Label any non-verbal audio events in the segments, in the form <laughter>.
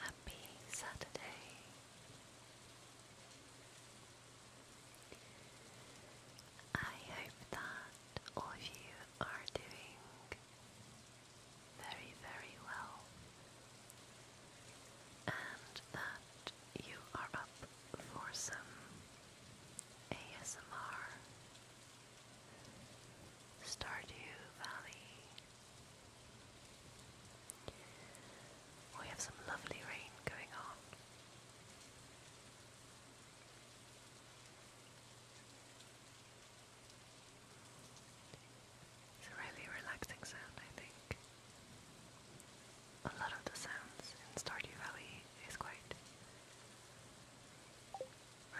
Happy Saturday. I hope that all of you are doing very, very well and that you are up for some ASMR Stardew Valley we have some lovely rain going on. It's a really relaxing sound, I think. A lot of the sounds in Stardew Valley is quite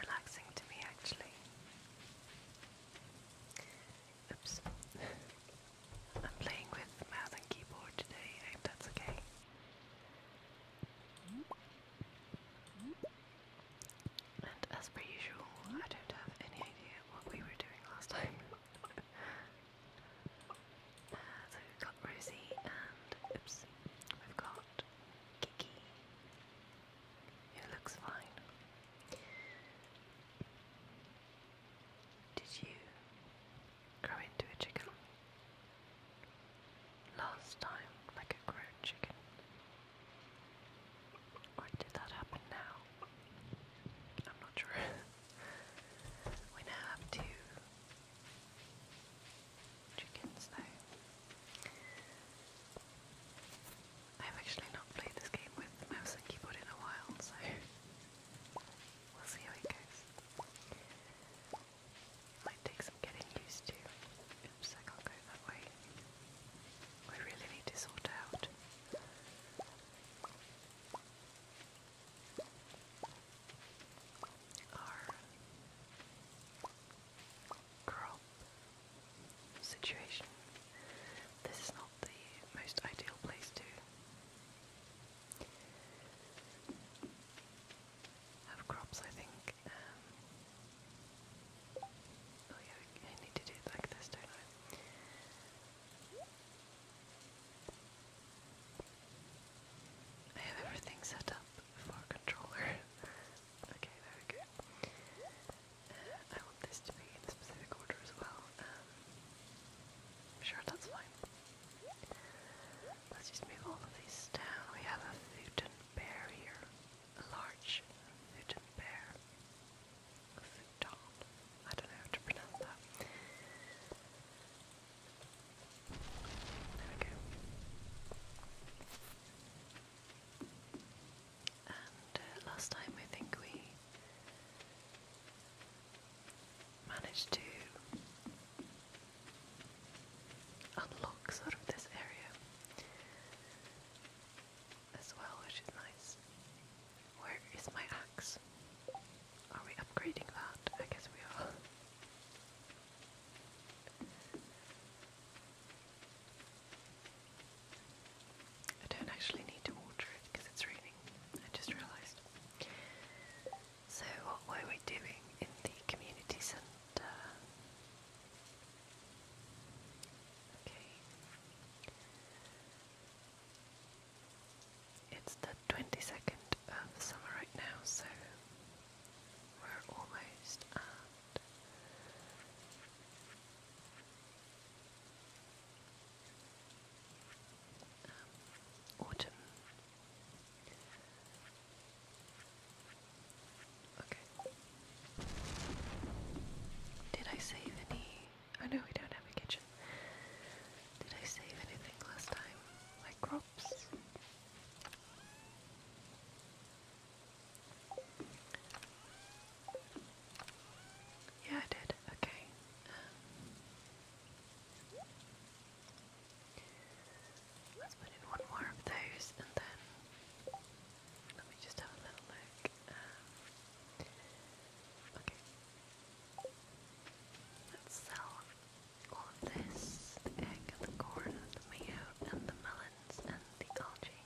relaxing to me, actually. Oops. I'm playing with mouse and keyboard today. that's okay. And as per usual, I don't have any idea what we were doing last time. <laughs> Uh, so we've got Rosie and, oops, we've got Kiki it looks fine. Did you grow into a chicken? Last time, like a grown chicken. Or did that happen now? I'm not sure. <laughs> we now have two chickens, though. I've actually not played this game with mouse and keyboard in a while, so we'll see how it goes. Might take some getting used to. I can't go that way. I really need to sort out. Our crop situation. This is not the most ideal place to have crops, I think. Um, oh yeah, I need to do it like this, don't I? I have everything set up for controller. <laughs> okay, there we go. Uh, I want this to be in a specific order as well. Um, sure, that's fine. Let's just move all of these down. We have a Futon bear A large Futon bear. A futon. I don't know how to pronounce that. There we go. And uh, last time I think we managed to unlock sort of this area as well, which is nice. Where is my axe? Are we upgrading that? I guess we are. I don't actually need to water it because it's raining, I just realised. So, what were we doing in the community centre? Okay. It's the 22nd of summer right now, so we're almost at autumn. Okay. Did I save any? I oh, no, we don't have a kitchen. Did I save anything last time? Like crops? Yeah, I did. Okay. let's put in one more of those and then let me just have a little look. Um, okay. Let's sell all of this the egg the corn the mayo and the melons and the algae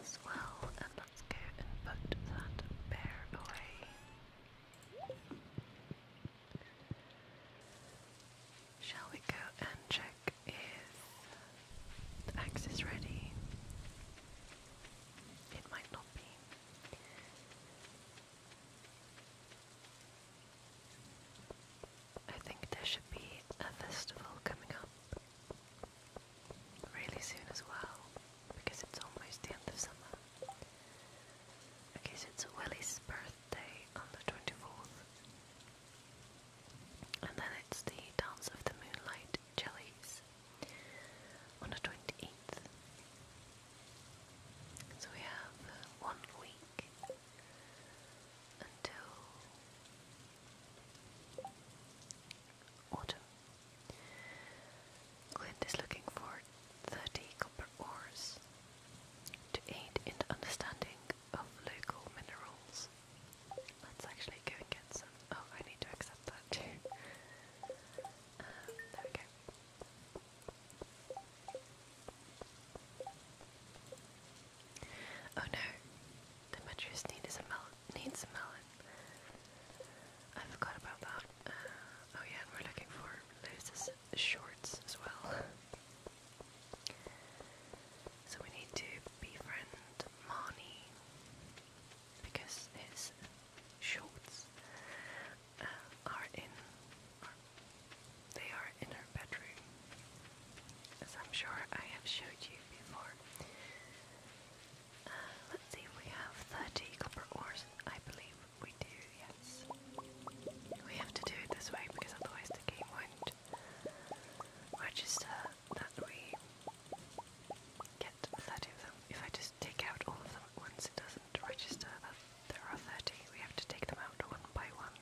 as well, and let's go and put that bear away. Shall we go and check if the axe is ready? It might not be. I think there should be a festival coming up really soon as well because it's almost the end of summer. Okay, so it's Willie's birthday on the 24th, and then it's the Dance of the Moonlight Jellies on the 28th. So we have one week until autumn. Clint is looking for 30 copper ores to aid in the understanding of local minerals. Let's actually go and get some. Oh, I need to accept that too. <laughs> Um, there we go. Oh no, the Metrosteen a melt needs a melon. I forgot about that. Uh, oh yeah, we're looking for Lewis's shorts as well. So we need to befriend Marnie because his shorts uh, are in, they are in her bedroom, as I'm sure I have showed you before. Uh, let's see we have 30 copper ores. I believe we do, yes. We have to do it this way because otherwise the game won't register that we get 30 of them. If I just take out all of them at once, it doesn't register that there are 30. We have to take them out one by one.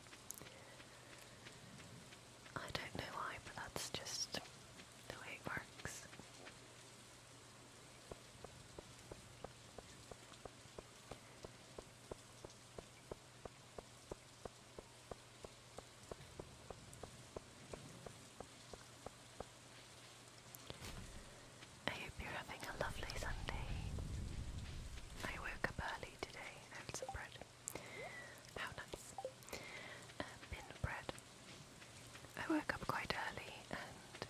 I don't know why, but that's just the way it works. I hope you're having a lovely Sunday. I woke up early today and had some bread. How nice. Uh, bread I woke up quite early and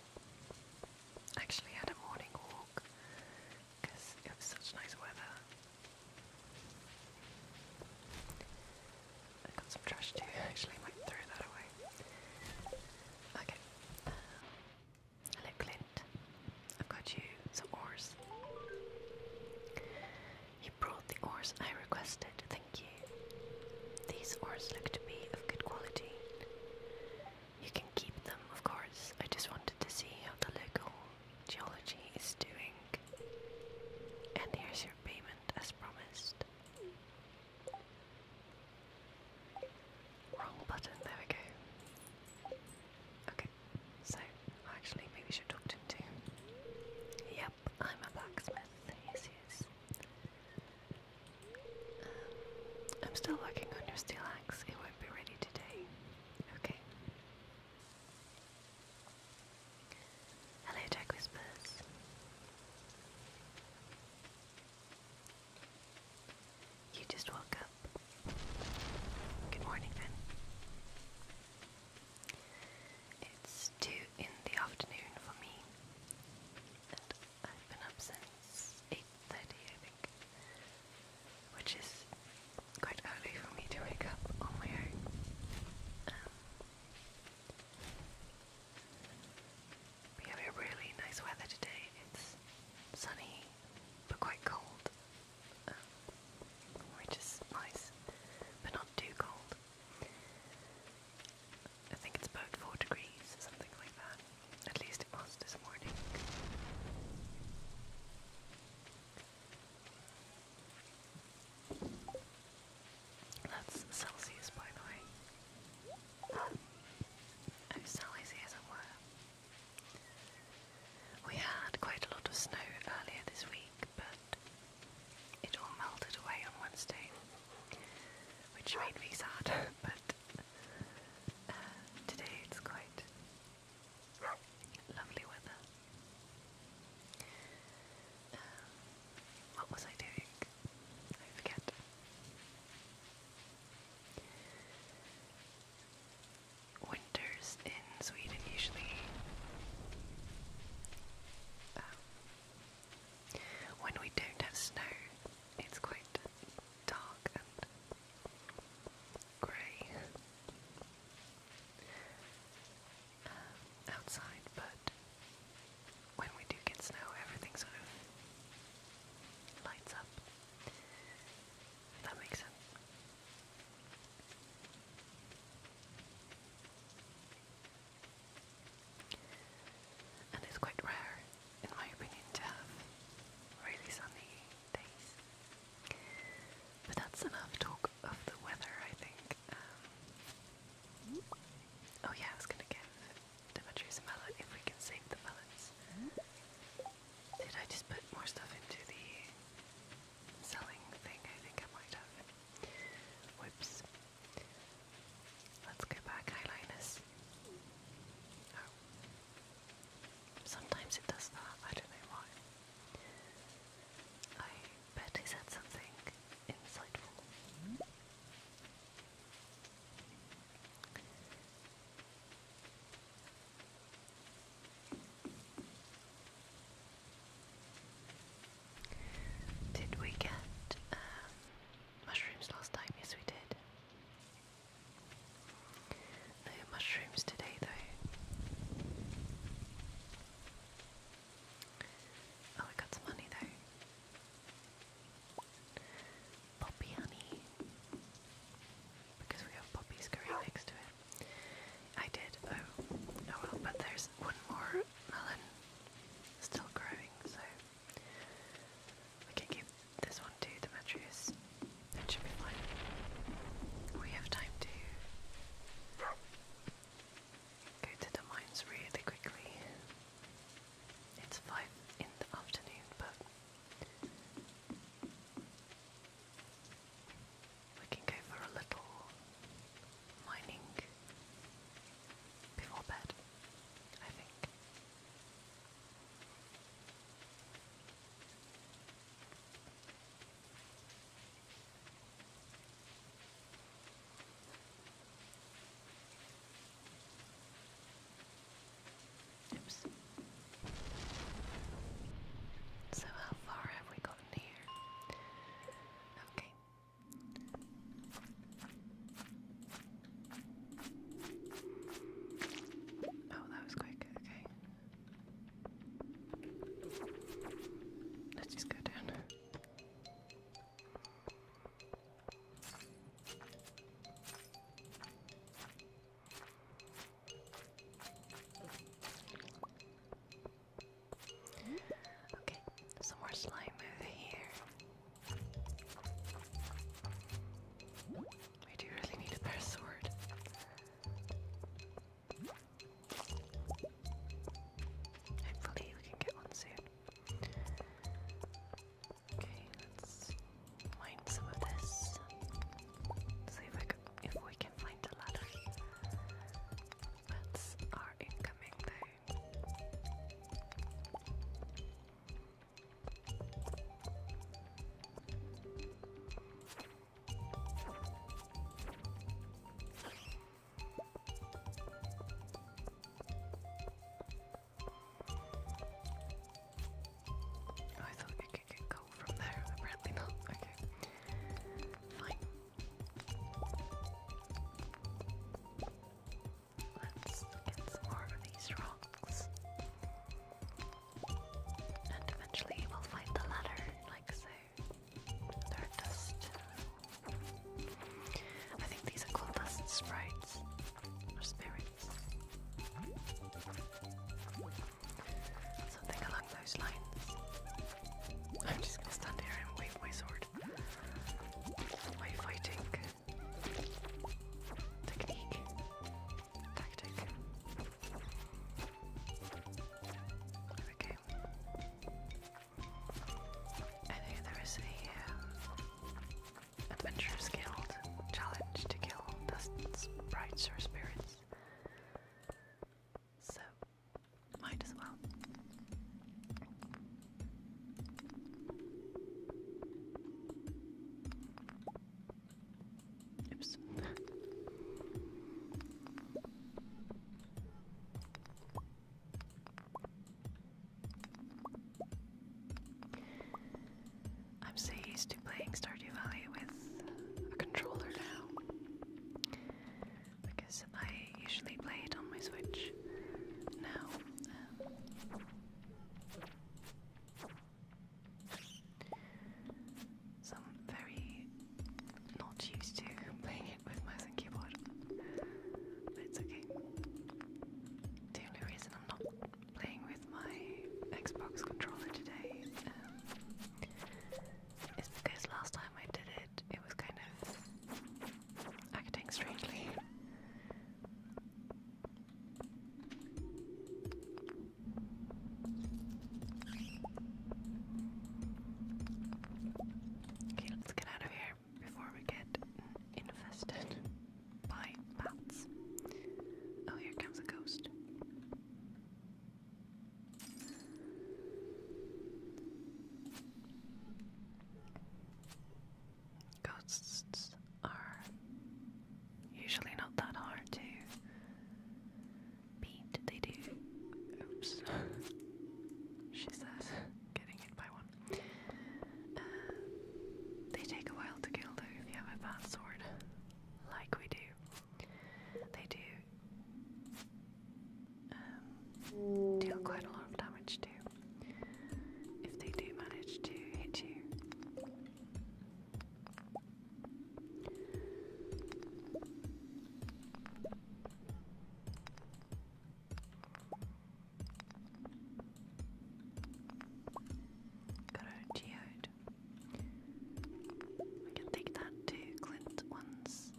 actually had a morning walk because it was such nice weather. I got some trash too, <laughs> actually, I might that away. Okay. hello, Clint. I've got you some oars. You brought the oars I requested, thank you. These oars look to be of good quality. You can keep them, of course. I just wanted to see how the local geology is doing. And here's your payment as promised. Wrong button, there we go. Okay, so actually, maybe we should talk to him too. Yeah, I'm a blacksmith. Yes, yes. Um, I'm still working on your steel axe. It won't be ready today. Okay. Hello, Jack Whispers. You just woke up. Good morning, then. It's two in the afternoon for me, I've been up since eight thirty, which is quite early for me to wake up on my own. Um, we have really nice weather today. It's sunny but quite cold, um, which is nice, but not too cold. I think it's about 4 degrees, something like that. At least it was this morning. That's Celsius, by the way. Um, oh, Celsius it oh, were. We had quite a lot of snow earlier this week, but it all melted away on Wednesday, which made me sad, <laughs> but uh, today it's quite lovely weather. Um, what was I doing? I forget. Winters in Sweden usually um, when we don't have snow, it's quite dark and grey um, outside, but when we do get snow, everything sort of lights up. If that makes sense. And it's quite rare, in my opinion, to have really sunny days. But that's enough talk of the weather, I think. Um, oh, yeah, I was gonna give Demetrius a melon if we can save the melons. Did I just put more stuff into the selling thing? I think I might have. Whoops. Let's go back, eyeliners. Oh. Sometimes it does that, I don't know why. I bet he said something insightful. Did we get um, mushrooms last time? Yes, we did. No mushrooms today, though. Oh, got some money, though. Poppy honey. Because we have poppies growing next to it. I did. Oh, oh well, but there's there's one more melon still growing, so we can give this one to Demetrius. should be fine. We have time to go to the mines really quickly. It's five in the afternoon, but we can go for a little mining before bed, I think. Oops. So, how far have we gotten here? Okay, Oh, that was quick. Okay. Let's just go down. Okay, some more slime over here. We do really need a better sword. Hopefully we can get one soon. Okay, let's mine some of this. See if I if we can find a ladder. That's our incoming thing. Oh, I thought it could get cold from there, apparently not. Okay. Fine. Let's get some more of these rocks. And eventually we'll find the ladder, like so. They're dust. I think these are called dust sprites. Or spirits. Something along those lines. I'm just gonna stand here and wave my sword. My fighting technique, tactic. Okay. I know there is a um, adventurers guild challenge to kill dust sprites or spirits. So, might as well. Oops. I'm so used to playing Stardew Valley with a controller now because I usually play it on my Switch now. Um, very not used to playing it with mouse and keyboard, but it's okay. The only reason I'm not playing with my Xbox controller today um, is because last time I did it, it was kind of acting strangely. Okay, let's get out of here before we get infested by bats. Oh, here comes a ghost. Ghosts are usually not that hard to beat. They do. Oops. <laughs> she says, getting hit by one. Uh, they take a while to kill though if you have a bad sword, like we do. They do. Um, deal quite a lot of damage to if they do manage to hit you. Got a geode. We can take that to Clint once.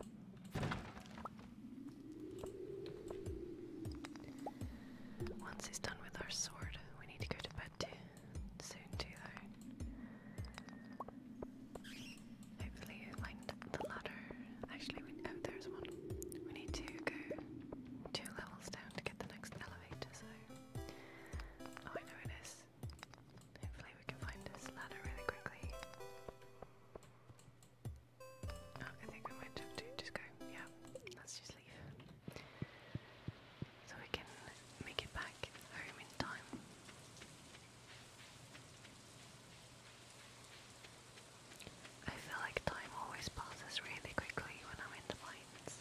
Once he's done with our sword, we need to go to bed too. Soon too Hopefully you lined the ladder. Actually oh there's one. We need to go two levels down to get the next elevator, so oh I know it is. Hopefully we can find this ladder really quickly. I think we might have to just go. Yeah, let's just leave. So we can make it back home in time. I feel like time always passes really quickly when I'm in the mines.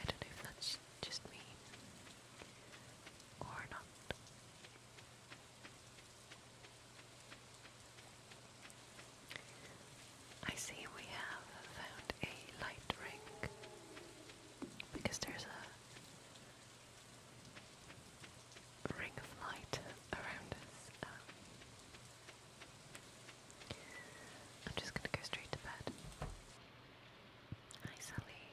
I don't know if that's just me or not. I see we have found a light ring because there's a ring of light around us. Um, I'm just going to go straight to bed. Hi, Sally.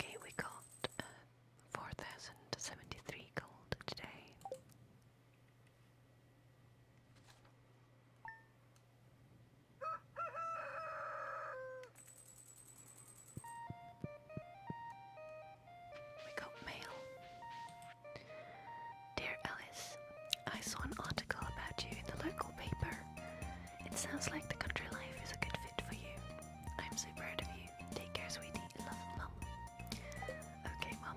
Okay, we got uh, 4073 gold today. We got mail. Dear Ellis, I saw an article about you in the local paper. It sounds like the country life is a good fit for you. I'm so proud of you. Take care, sweetie. Love, mum. Okay, mum.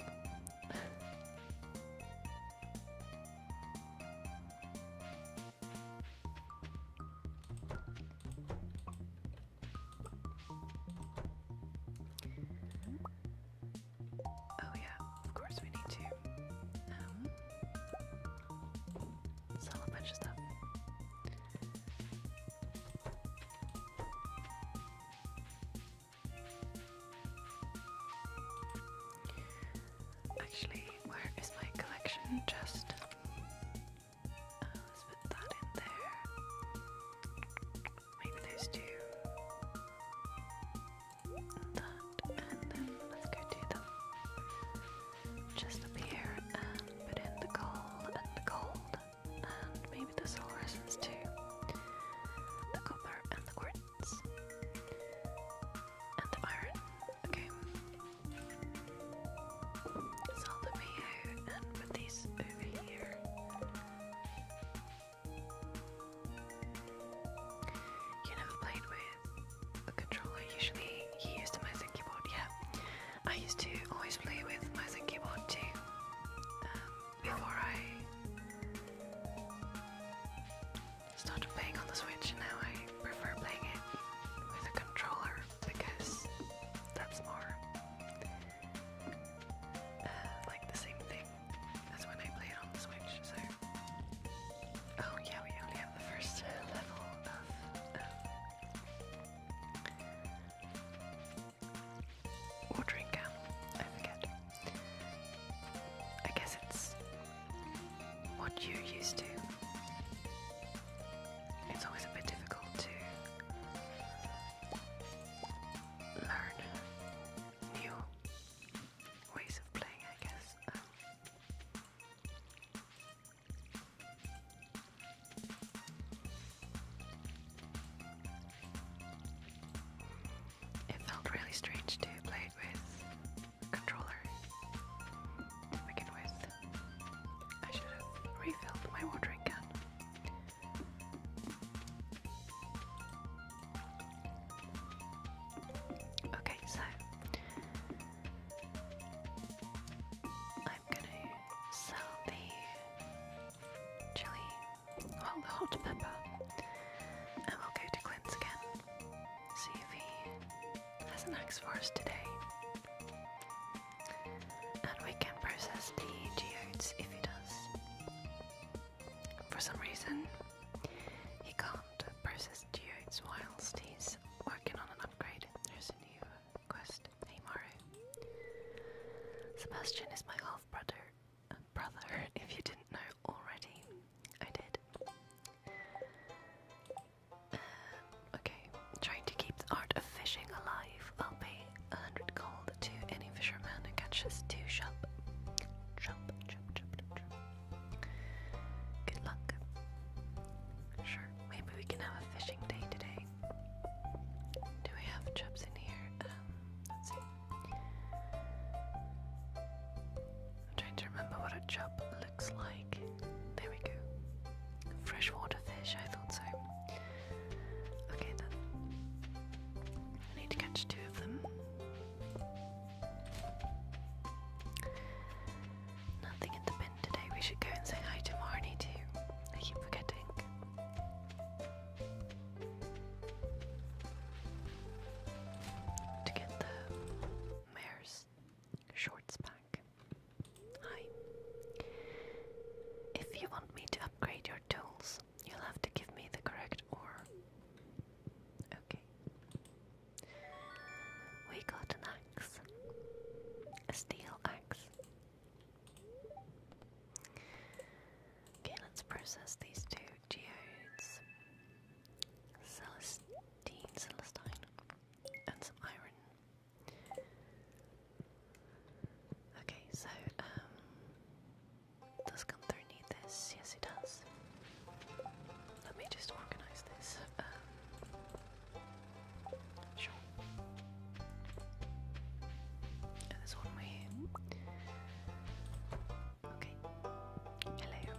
Oh yeah, of course we need to. Um, sell a bunch of stuff. Actually, where is my collection chest? Uh, let's put that in there. Maybe there's two. and then let's go do them. Just up here and put in the gold and the gold and maybe the solar essence too. The copper and the quartz. And the iron. Okay. Salt the mayo and put these over here. You never played with the controller usually he used a Meisen keyboard, yeah. I used to always play with Meisen keyboard too. Um, before I started playing on the Switch now I prefer playing it with a controller because that's more uh, like the same thing as when I play it on the Switch, so Oh yeah, we only the first level of um, watering can. I forget. I guess it's what you're used to. It's always a bit difficult to learn new ways of playing, I guess. Um, it felt really strange to play it with a controller to begin with. I should have refilled my watering can. Okay, so I'm gonna sell the chili, well, the hot pepper, and we'll go to Clint's again. See if he has an axe for us today. And we can process the geodes if he does. For some reason, he can't process geodes whilst he's working on an upgrade quest. Hey Sebastian is my half brother. Uh, brother, if you didn't know already, I did. Um, okay, trying to keep the art of fishing alive. I'll pay a hundred gold to any fisherman who catches two sharp. Jump, jump, jump, jump, Good luck. Sure. Maybe we can have a fishing day today. Do we have chips in here? Um, let's see. I'm trying to remember what a chub looks like. There we go. Freshwater fish, I thought so. Okay then. I need to catch two of them. Nothing in the bin today. We should go and say hi to Marnie too. I keep forgetting. To get the mare's shorts back. Hi. If you want me to upgrade your tools, you'll have to give me the correct ore. Okay. We got an axe, a steel axe. Okay, let's process these two geodes. Celestine, Celestine, and some iron. Okay, so, um, does come through need this? Yes, it does. Let me just organize this. Um, Sure. And one way Okay. Hello.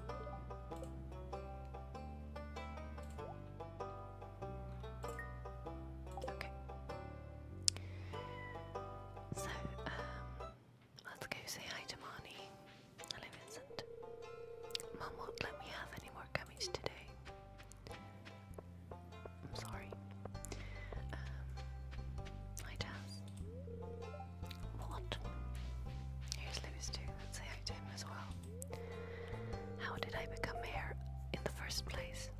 Okay. So, um, let's go say hi to Marnie. Hello, Vincent. Mum won't let me have any more today. I'm sorry. Um, hi, Taz. What? Here's Lewis too. Let's say hi to him as well. How did I become mayor in the first place?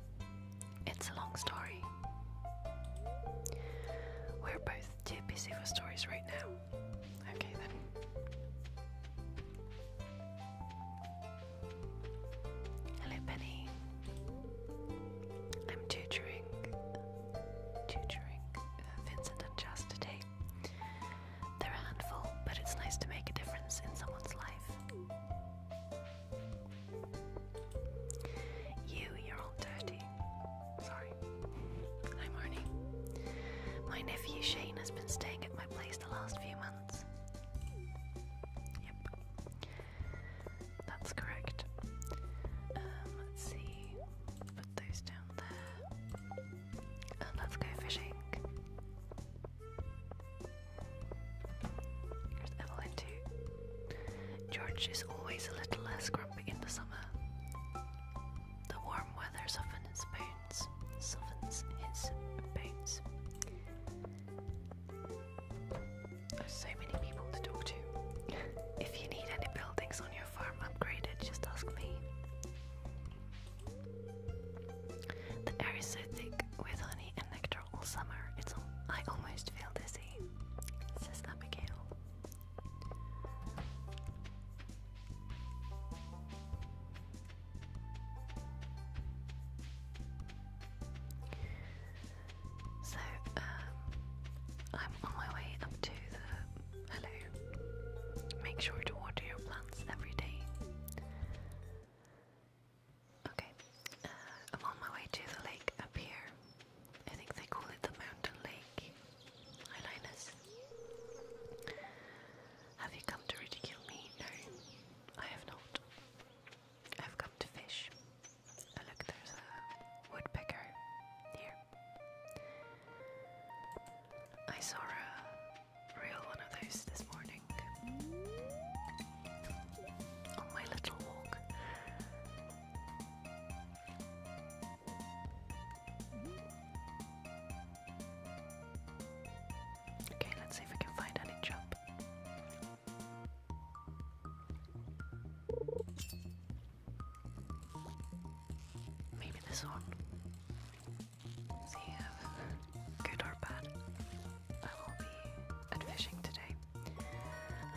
It's a long story. We're both too busy for stories right now. Okay then. Hello, Penny. I'm tutoring, tutoring uh, Vincent and Jazz today. They're a handful, but it's nice to make a difference in someone's life. You, you're all dirty. Sorry. Hi, Marnie. My nephew Shane has been staying at my place the last few months. Netherlands. Yep. That's correct. Um, let's see. Put those down there. And oh, let's go fishing. Here's Evelyn too. George is always a little less grumpy in the summer. The warm weather's often in Spain bones, so many people to talk to. if you need any buildings on your farm upgraded, just ask me. The air is thick with honey and nectar all summer. It's all, I almost feel dizzy. Says Abigail. So, um, I'm on my way up to the. Hello. Make sure to water your plants every day. Okay, uh, I'm on my way to the lake up here. I think they call it the Mountain Lake. Hi, Linus. Have you come to ridicule me? No, I have not. I've come to fish. Oh, look, there's a woodpecker here. I saw a real one of those this morning on my little walk. Okay, let's see if we can find any job. Maybe this one. See if good or bad. I will be fishing today.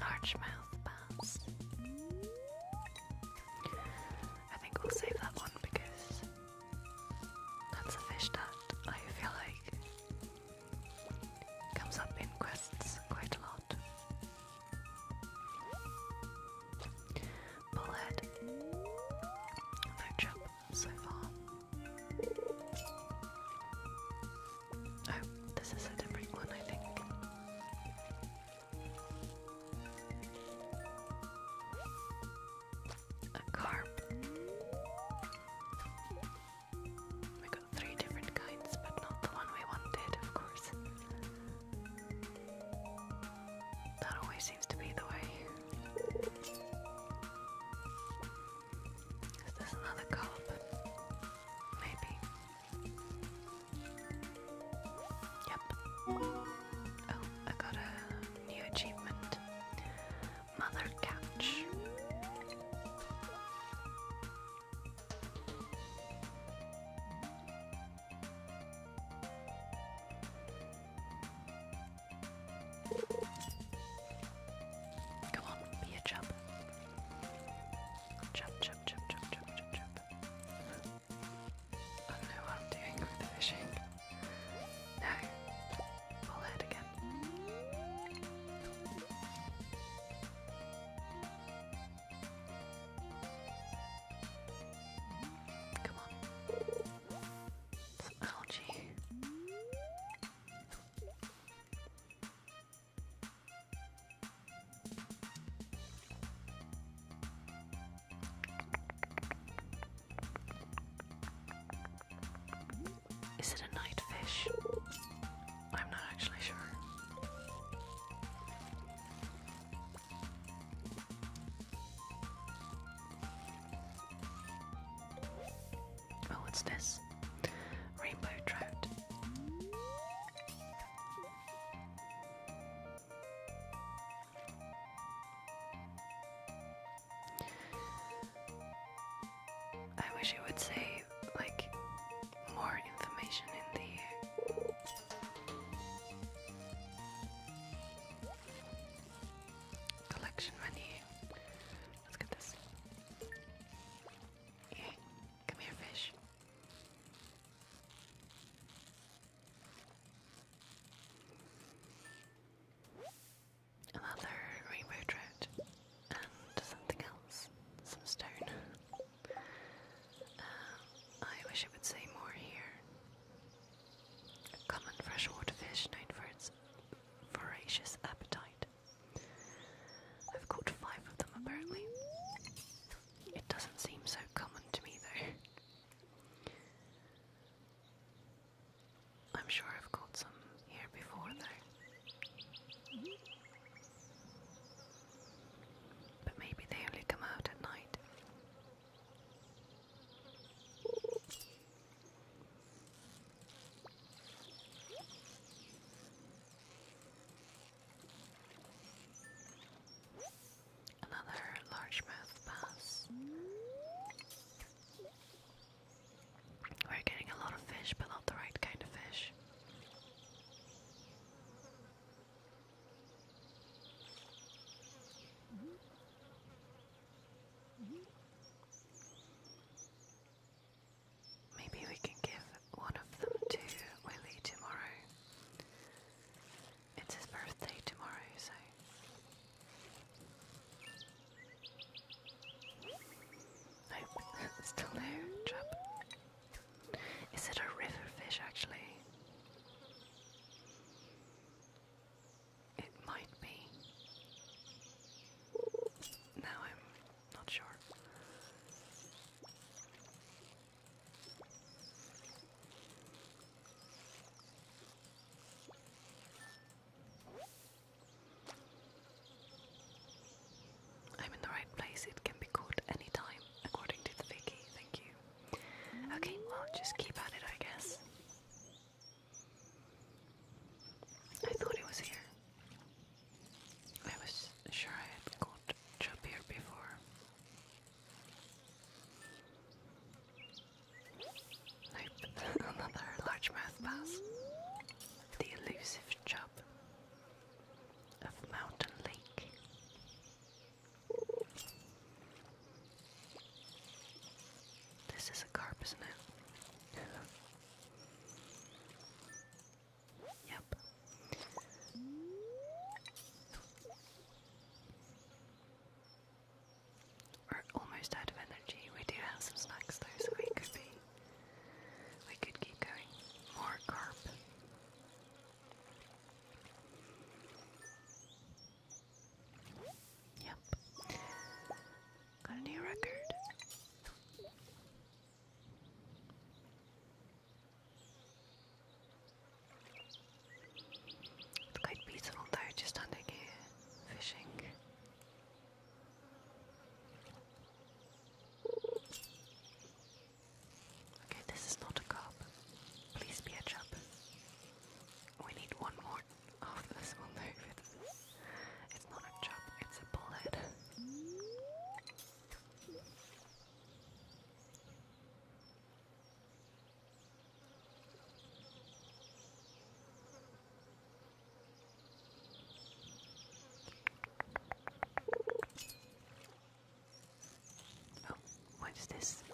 Largemouth bass. I think we'll save that one because that's a fish that I feel like comes up in quests quite a lot. Bullhead. No job so far. Oh, this is a different one, I think a carp. We got three different kinds, but not the one we wanted, of course. That always seems to be the way. Is this another carp? Maybe. Yep. Oh, I got a new achievement. Couch. Come on, be a chub. Chub, chub, chub, chub, chub, chub, I know what I'm fishing. No. Pull it again. Come on. Some algae. Is it a night fish? I'm not actually sure. Oh, what's this? Rainbow trout. I wish it would say like more information in the collection menu. Let's get this. Yeah, come here, fish another rainbow thread, and something else, some stone. Uh, I wish it would say more here. common freshwater fish known for its voracious appetite. I've caught five of them apparently. It doesn't seem so common to me though. I'm sure I've caught some here before, though. But maybe they only come out at night. Another largemouth bass. We're getting a lot of fish, but not the right kind of fish. Maybe we can give one of them to Willy tomorrow. It's his birthday tomorrow, so Nope, <laughs> still no trap. Is it a river fish actually? It might be. Now I'm not sure. I'm in the right place. It can be caught anytime, according to the Vicky. Thank you. Okay, well, just keep at it, I guess. I thought it was here. I was sure I had caught Chub before. Nope, another largemouth bass. The elusive chub of Mountain Lake. This is a carp, isn't it? <laughs> yep. We're almost out of energy. We do have some snacks though, so we could be. We could keep going. More carp. Yep. Got a new record. quite peaceful though, just under here, fishing. Okay, this is not a cop. Please be a job. We need one more of this one though. It's, it's not a job, it's a bullet. Oh, what is this?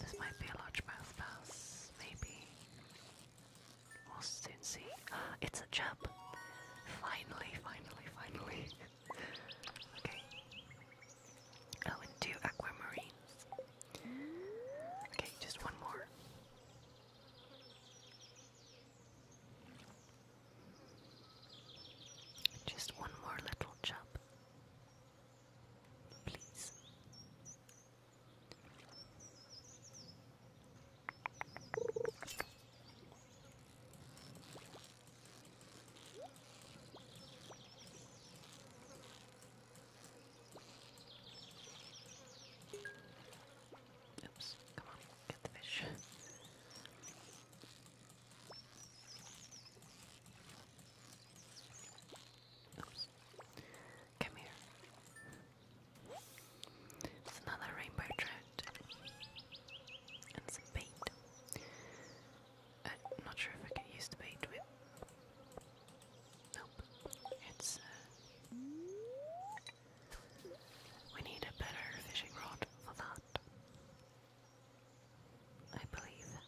This might be a largemouth bass, maybe. We'll soon see. <gasps> It's a chub! Finally, finally, finally. <laughs> okay. Oh, and two Okay, just one more. Just one more little chop, please. Oops, come on, get the fish. Oops. Come here. It's another rainbow trout. some bait. I'm uh, not sure if I can use the bait with. Uh, we need a better fishing rod for that. I believe.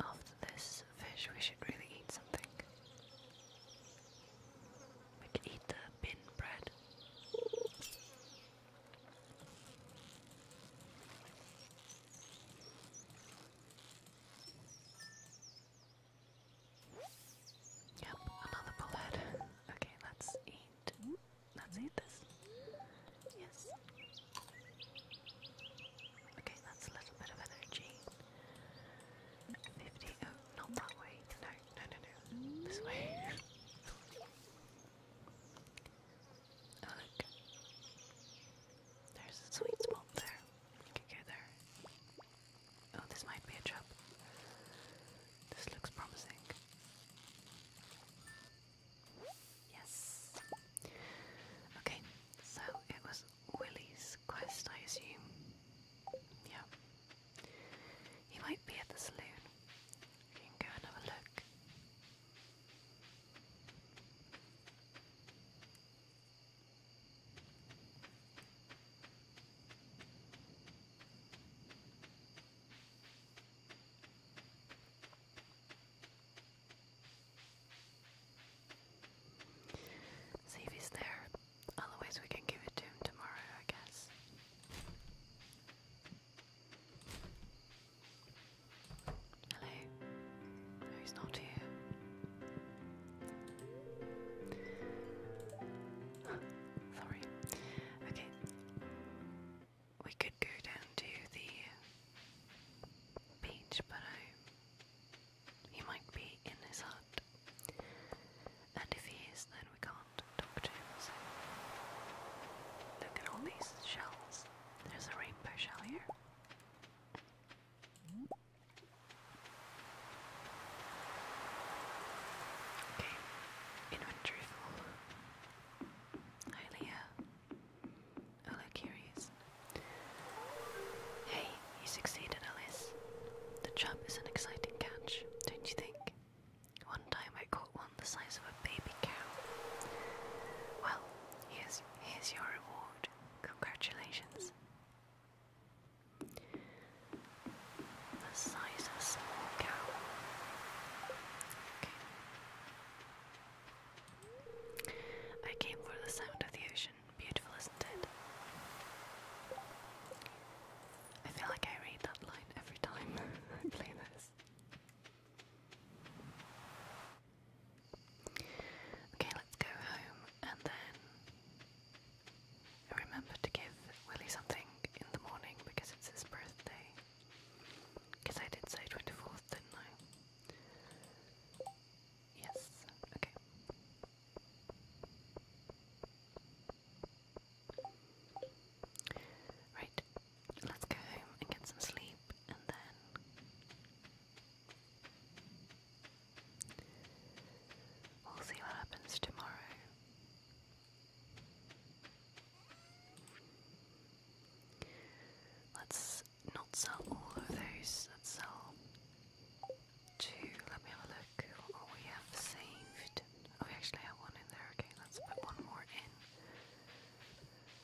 After this fish, we should really eat something. We could eat the bin bread. Yep, another bullet. Okay, let's eat. Let's eat this. Yes. Okay, that's a little bit of energy. 50. Oh, not that way. No, no, no, no. This way look. There's a sweet spot there. You can go there. Oh, this might be a trap. This looks promising. Yes. Okay, so it was Willie's quest, I assume. Yeah. He might be at the saloon. We can go and have a look. See if he's there. Otherwise, we can give it to him tomorrow, I guess. Hello. he's not here. <laughs> Sorry. Okay. We could go down to the beach, but he might be in his hut. And if he is, then we can't talk to him. Look at all these shells. There's a rainbow shell here. Okay, inventory full. Hi Leah. Hello Curious. Hey, you succeeded Alice. The job is an exciting catch, don't you think? One time I caught one the size of baby cow. Well, here's here's your reward. Congratulations. a small cow. I came for the sound of the ocean. Beautiful, isn't it? I feel like I read that line every time <laughs> I play this. Okay, let's go home and then remember to give Willie something in the morning because it's his birthday. Because I did say 24th, didn't I? Yes, okay. Right, let's go home and get some sleep and then. We'll see what happens tomorrow. Let's not sell all of those, let's sell two. Let me have a look we have saved. Oh, we actually have one in there. Okay, let's put one more in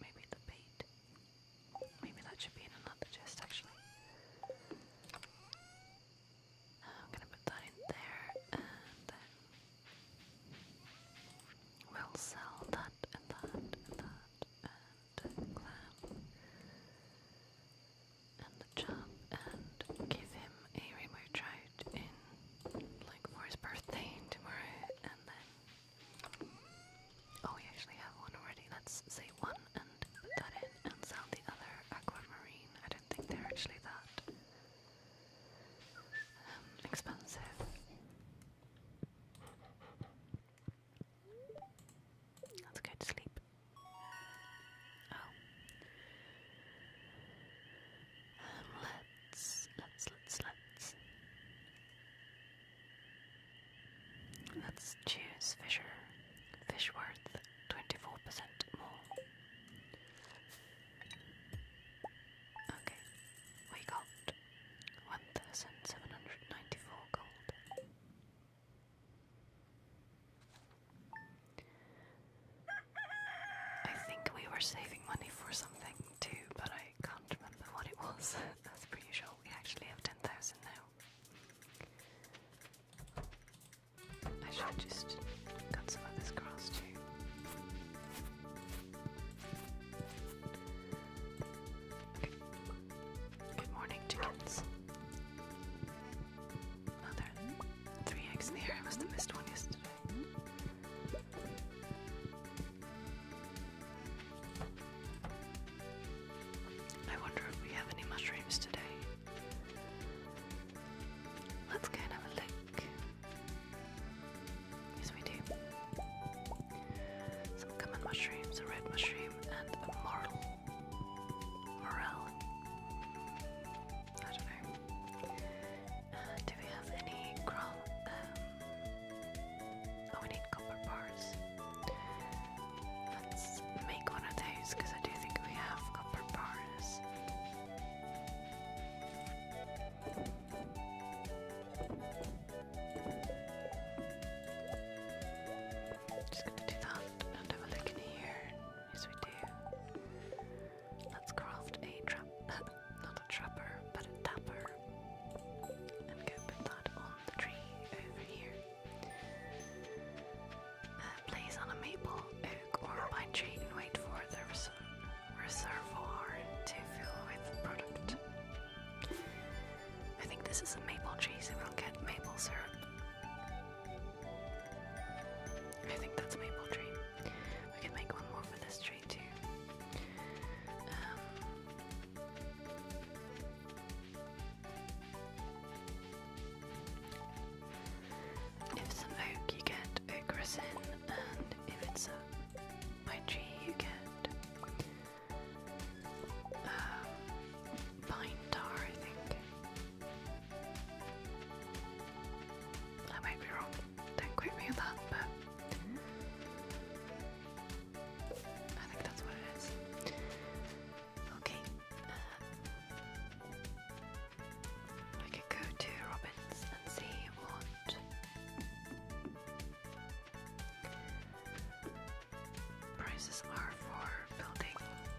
maybe the beat. Maybe that should be in another chest actually. Uh, I'm gonna put that in there and then we'll sell that and that and that and clam and the job and give him a remote trout in like for his birthday tomorrow and then Oh, we actually have one already. Let's say one and put that in and sell the other aquamarine. I don't think they're actually that um, expensive. Let's go to sleep. Oh. Um, let's, let's, let's, let's. Let's choose Fisher. Fish worth 24% more. Okay, we got 1,794 gold. I think we were saving money for something too, but I can't remember what it was. <laughs> That's pretty sure we actually have 10,000 now. I should just cut some of this grass too. Good morning, chickens. Oh, three eggs in the air. I must have missed one yesterday. I wonder if we have any mushrooms today. Let's go and have a look. Yes, we do. Some common mushrooms, a red mushroom, and a morel. Morel. I don't know. Uh, do we have any gra um, Oh, we need copper bars. Let's make one of those because I do think we have copper bars. Just gonna do that and have a look in here. Yes, we do. Let's craft a trap, <laughs> not a trapper, but a tapper, and put that on tree over here. Uh, place on a maple, oak, or pine tree and wait for the res to fill with product. I think this is a maple tree, so we'll get maple syrup. I think that's a maple tree. We can make one more for this tree too. Um, if it's oak, you get oak and if it's a pine tree, you get uh, pine tar, I think. I might be wrong, don't quote me on that, but I think that's what it is. Okay. Uh, I go to Robbins and see what prices are for building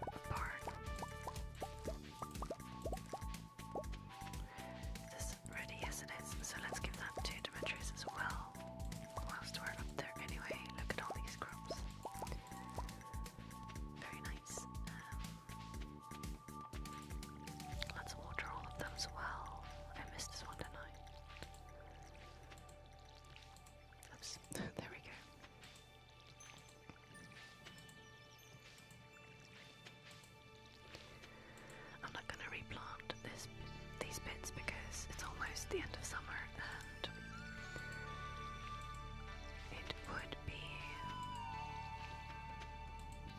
a barn. This ready, isn't So let's give that to Demetrius as well whilst we're up there anyway. Look at all these crops. Very nice. Um, let's water all of them as well. I missed this one, did Oops, <laughs> there we go. I'm not going to replant this these bits because it's almost the end of summer um, it would be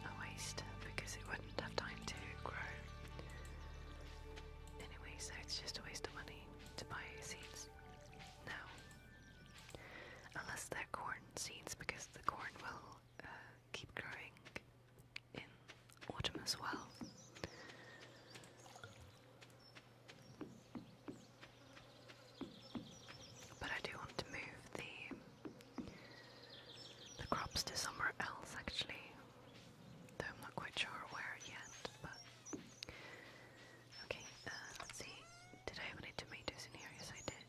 a waste because it wouldn't have time to grow. Anyway, so it's just a waste of money to buy seeds now. Unless they're corn seeds because the corn will uh, keep growing in autumn as well. But I do want to move the the crops to somewhere else actually. Though I'm not quite sure where yet, but okay, uh, let's see. Did I have any tomatoes in here? Yes I did.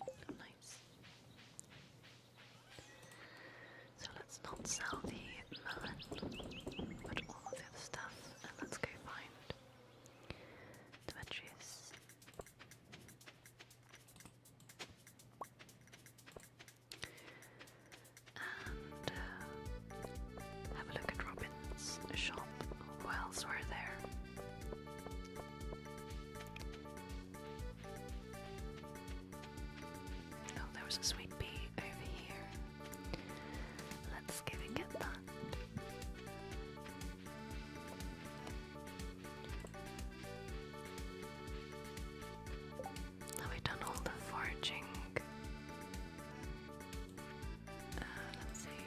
Oh, nice. So let's not sell the melon, but all of the other stuff, and let's go find Demetrius. And uh, have a look at Robin's shop. Who else were there? Oh, there was a sweet pea over here. Let's go and get that. Have done all the foraging? Uh, let's see.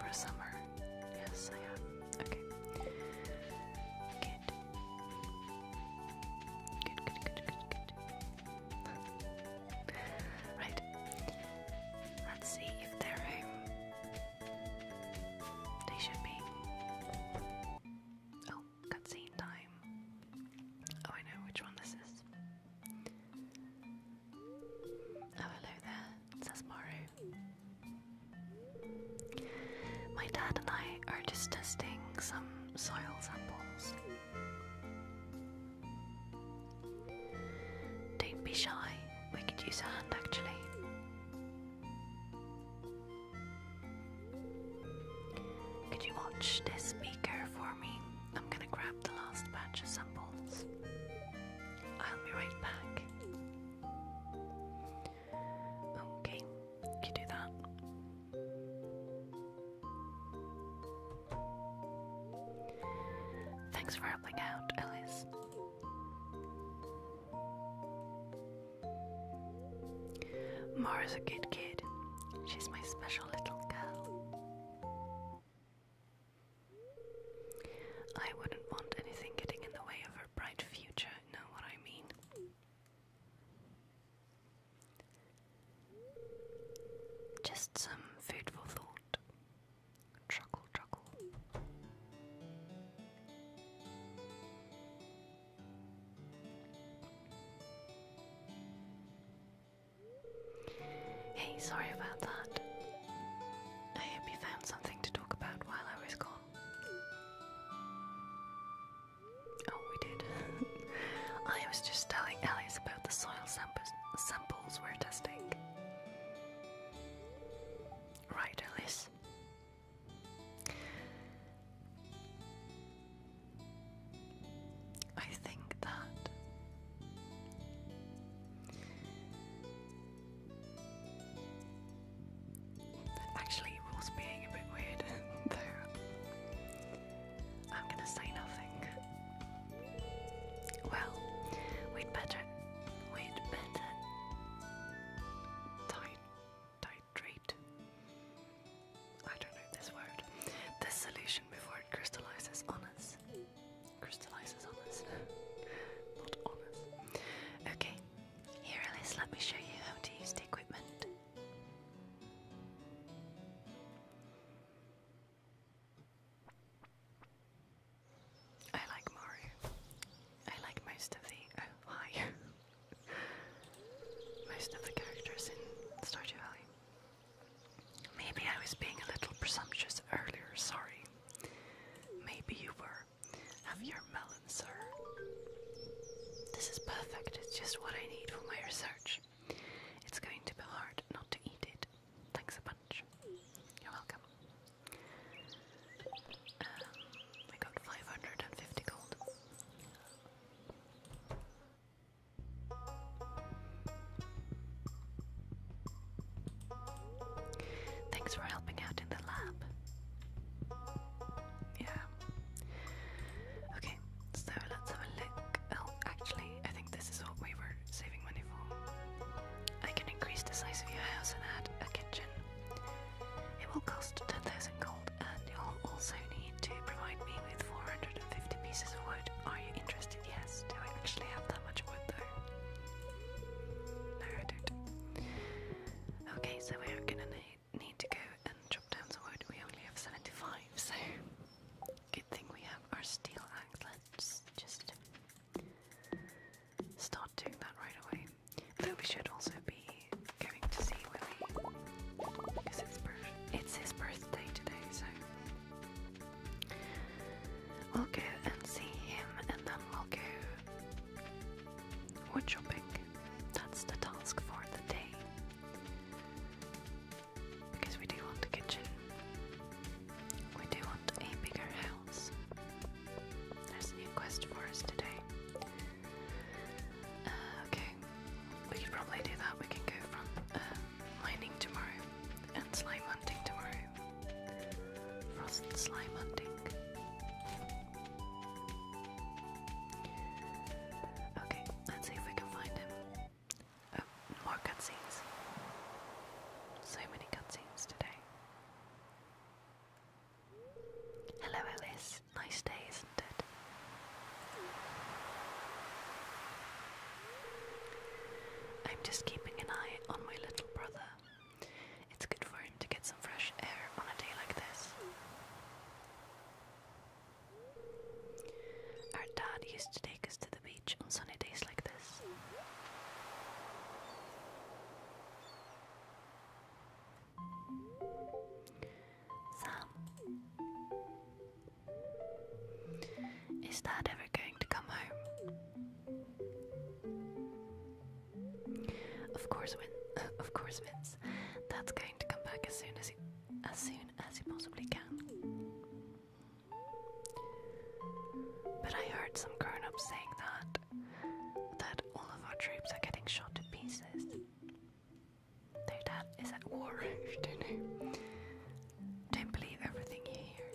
For summer. Yes, I have. Okay right. Let's see if they're home. They should be. Oh, cutscene time. Oh, I know which one this is. Oh, hello there. says Maru. My dad and I are just testing some soil samples. Don't be shy, we could use a hand actually. Could you watch this speaker for me? I'm gonna grab the last batch of samples. I'll be right back. Okay, you do that. Thanks for helping out, Ellis. Mara's a good kid. She's my special little girl. I wouldn't want anything getting in the way of her bright future, know what I mean? Just some food for thought. Truckle, truckle. Hey, sorry about that. I hope you found something to talk about while I was gone. Oh, we did. <laughs> I was just telling Alice about the soil samples, samples we're testing. Right, Alice? I think that actually was being a bit weird <laughs> there. I'm gonna say nothing. Well, we'd better, we'd better titrate. I don't know this word. This solution before it crystallizes on us. Crystallizes on us. Not on us. Okay, here Alice, let me show you how to use the equipment. I like Mario. I like most of the oh hi <laughs> most of the characters in Stardew Valley. Maybe I was being a little presumptuous earlier, sorry. Maybe you were. Have your melon, sir. This is perfect, it's just what I need for my research. It's going to be hard not to eat it. Thanks a bunch. You're welcome. Um, got 550 gold. Thanks for helping out in the lab. Yeah, Okay, so let's have a look. Oh, actually, I think this is what we were saving money for. I can increase the size of your house and add a kitchen. It will cost 10,000 gold, and you'll also need to provide me with 450 pieces of wood. Are you interested? Yes. Do we actually have that much wood, though? No, I don't. Okay, so we are gonna need to go and chop down some wood. We only have 75, so good thing we have our steel ax just start doing that right away. Though we should also be going to see Willie because it's, his birthday today, so we'll go and see him and then we'll go wood chopping. That's the task for the day because we do want a kitchen. We do want a bigger house. There's a new quest for us today. Uh, okay, we could probably do that. We can go from uh, mining tomorrow and slime hunting tomorrow. Frost slime hunting. Okay, let's see if we can find him. Oh, more cutscenes. So many cutscenes today. Hello, Alice. Nice day, isn't it? I'm just keeping an eye on my little brother. It's good for him to get some fresh air on a day like this. Our dad used to take us to the beach on sunny days like this. Sam, is Dad ever going to come home? Of course, Win. <laughs> Of course, Vince. Dad's going to come back as soon as he, as soon as you possibly can. But I heard some grown ups saying that that all of our troops are getting shot to pieces. Their dad is at war, <laughs> if don't know. believe everything you hear.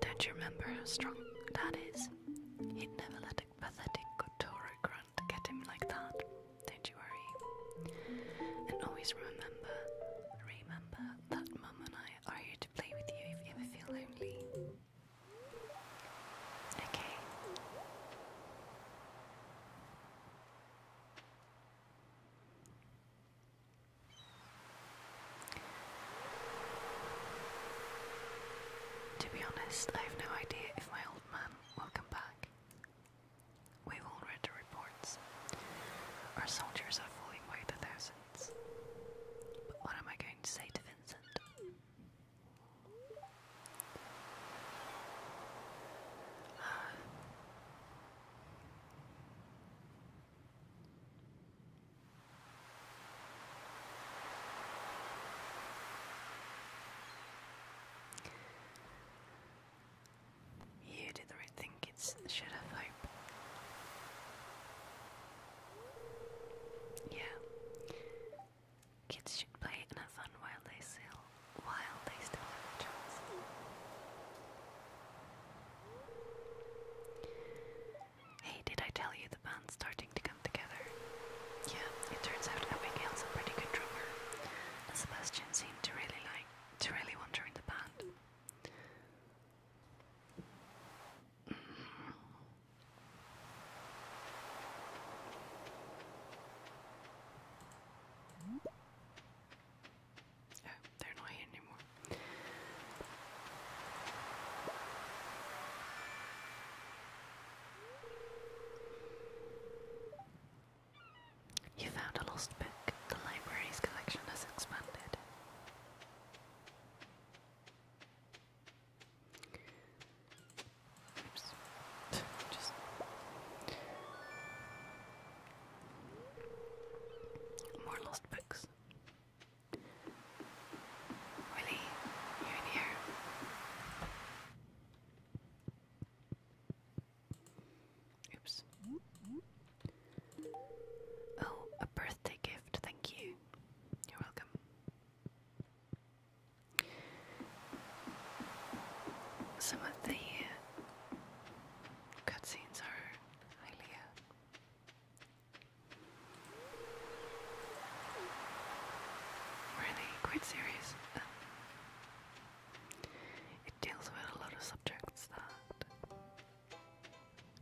Don't you remember how strong dad is? He'd never let a pathetic Gotoro cry can't get him like that. Don't you worry. And always remember, remember that Mum and I are here to play with you if you ever feel lonely. Okay. To be honest, I have no idea if my old man will come back. We've all read the reports. Our soldiers are falling by the thousands. But what am I going to say to Vincent? You did the right thing, kids. Should have hope. Yeah. Kids should play and have fun while they still while they still have a chance. Hey, did I tell you the band's starting to come together? Yeah, it turns out Abigail's some pretty good drummer. Sebastian Christian seemed to really like to really want her in the band. Mm-hmm. Oh, they're not here anymore. You found a lost book. The library's collection has expanded. more lost books. Willie, you in here? Oops. Oh, a birthday gift, thank you. You're welcome. Some of the uh, cutscenes are uh, really quite serious. It deals with a lot of subjects that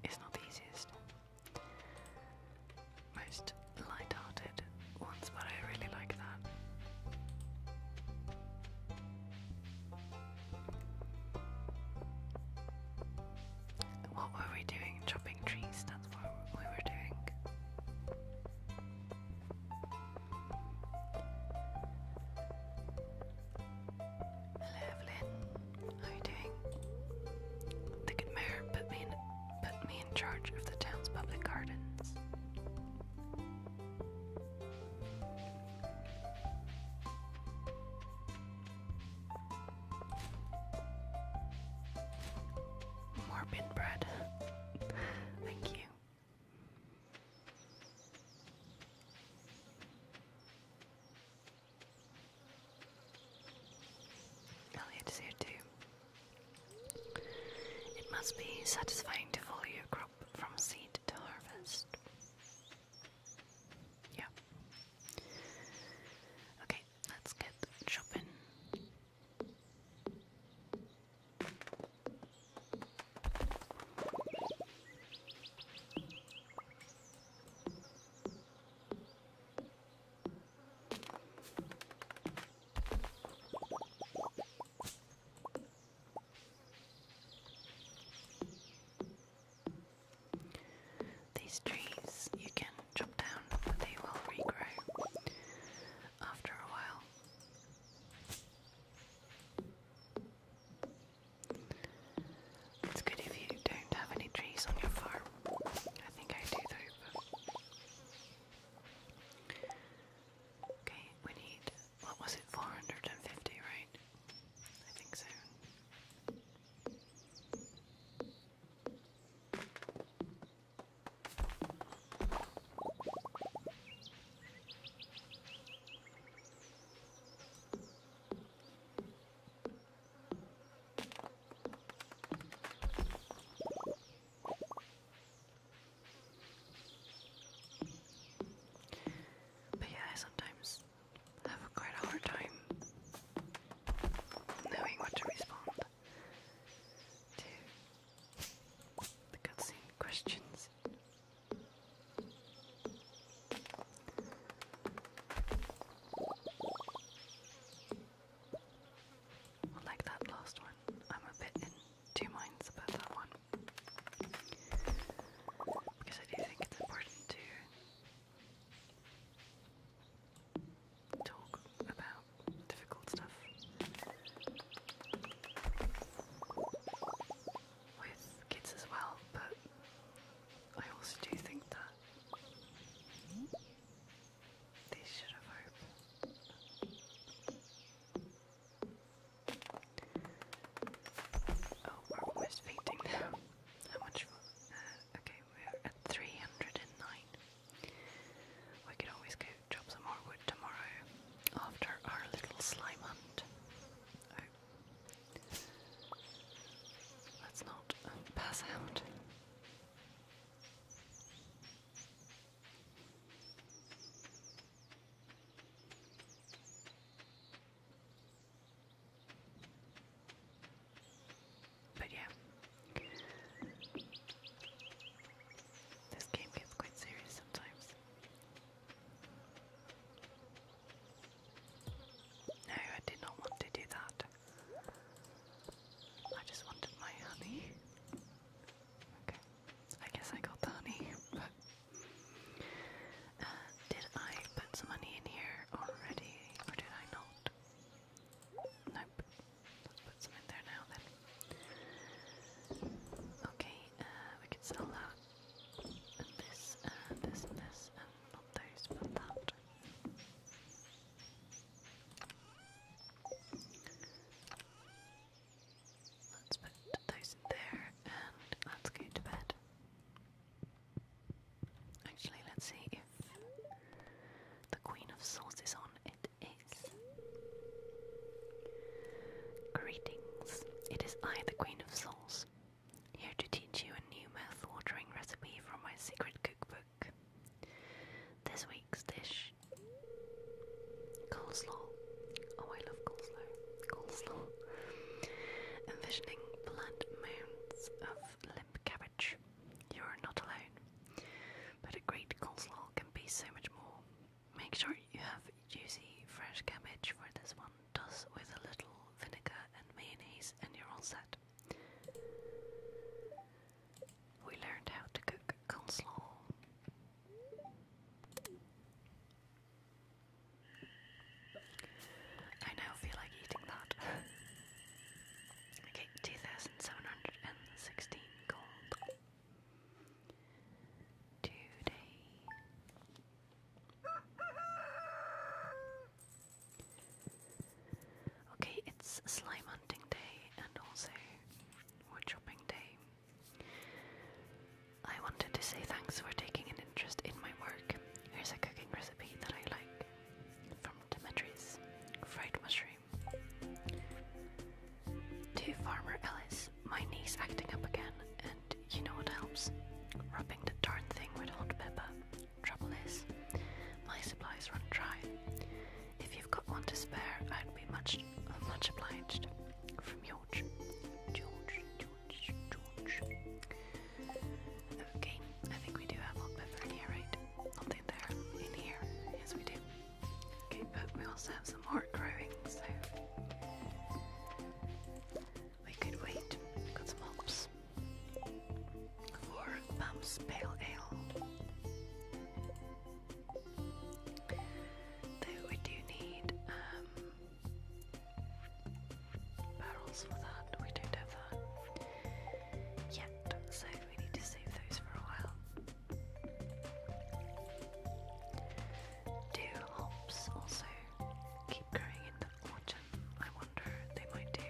is not the easiest. Most light-hearted ones, but I really like that. What were we doing? Chopping trees, that's what we were doing. Hello Evelyn, how are you doing? The good mayor put me put me in charge of the town's public gardens. More bread. <laughs> Thank you. Elliot's here too. It must be satisfying to follow your crop from seed to harvest. Yeah. Okay, let's get chopping. These trees you can chop down, but they will regrow after a while. It's good if you don't have any trees on your farm. I think I do though. Okay, we need, what was it, 450, right? I think so. But yeah, I sometimes have quite a hard time knowing what to respond to the cutscene questions. Like that last one, I'm a bit in two minds about that one because I do think it's important to talk about difficult stuff with kids as well, but I also do think that they should have hope. Oh, we're almost painting now. How much? Uh, okay, we're at 309. We could always go Drop some more wood tomorrow after our little slime hunt. Oh, let's not pass out. But yeah, this game gets quite serious sometimes. No, I did not want to do that. I just wanted my honey. Okay, I guess I got the <laughs> but. Uh, did I put some money in here already, or did I not? Nope. Let's put some in there now then. Okay, uh, we could sell that and this, uh, this, and this, and not those, but that. Let's put those there, and let's go to bed. Actually, let's see if the Queen of Swords is on. It is. Greetings, it is I, the Queen of Souls, here to teach you a new mouth-watering recipe from my secret cookbook. This week's dish, coleslaw. Oh, I love coleslaw. Coleslaw. Envisioning bland mounds of limp cabbage. You are not alone, but a great coleslaw can be so much more. Make sure you have juicy, fresh cabbage for this one. Toss with a little vinegar and mayonnaise, and you're all set. We learned how to cook coleslaw. I now feel like eating that. <laughs> okay, 2716 gold today. Okay, it's slime hunting day and also wood chopping day. I wanted to say thanks for taking an interest in my work. Here's a cooking recipe that I like from Dimitri's fried mushroom. To Farmer Ellis, my knees acting up again, and you know what helps? Rubbing the darn thing with hot pepper. Trouble is, my supplies run dry. If you've got one to spare, I'd be much, much obliged. From George. George, George, George. Okay, I think we do have hot pepper here, right? Not there, in here. Yes, we do. Okay, but we also have some heart growing, so we could wait. we got some hopes. For Bum's Pale Ale. Though we do need um, barrels for that. We don't have that yet, so we need to save those for a while. Do hops also keep growing in the autumn? I wonder they might do.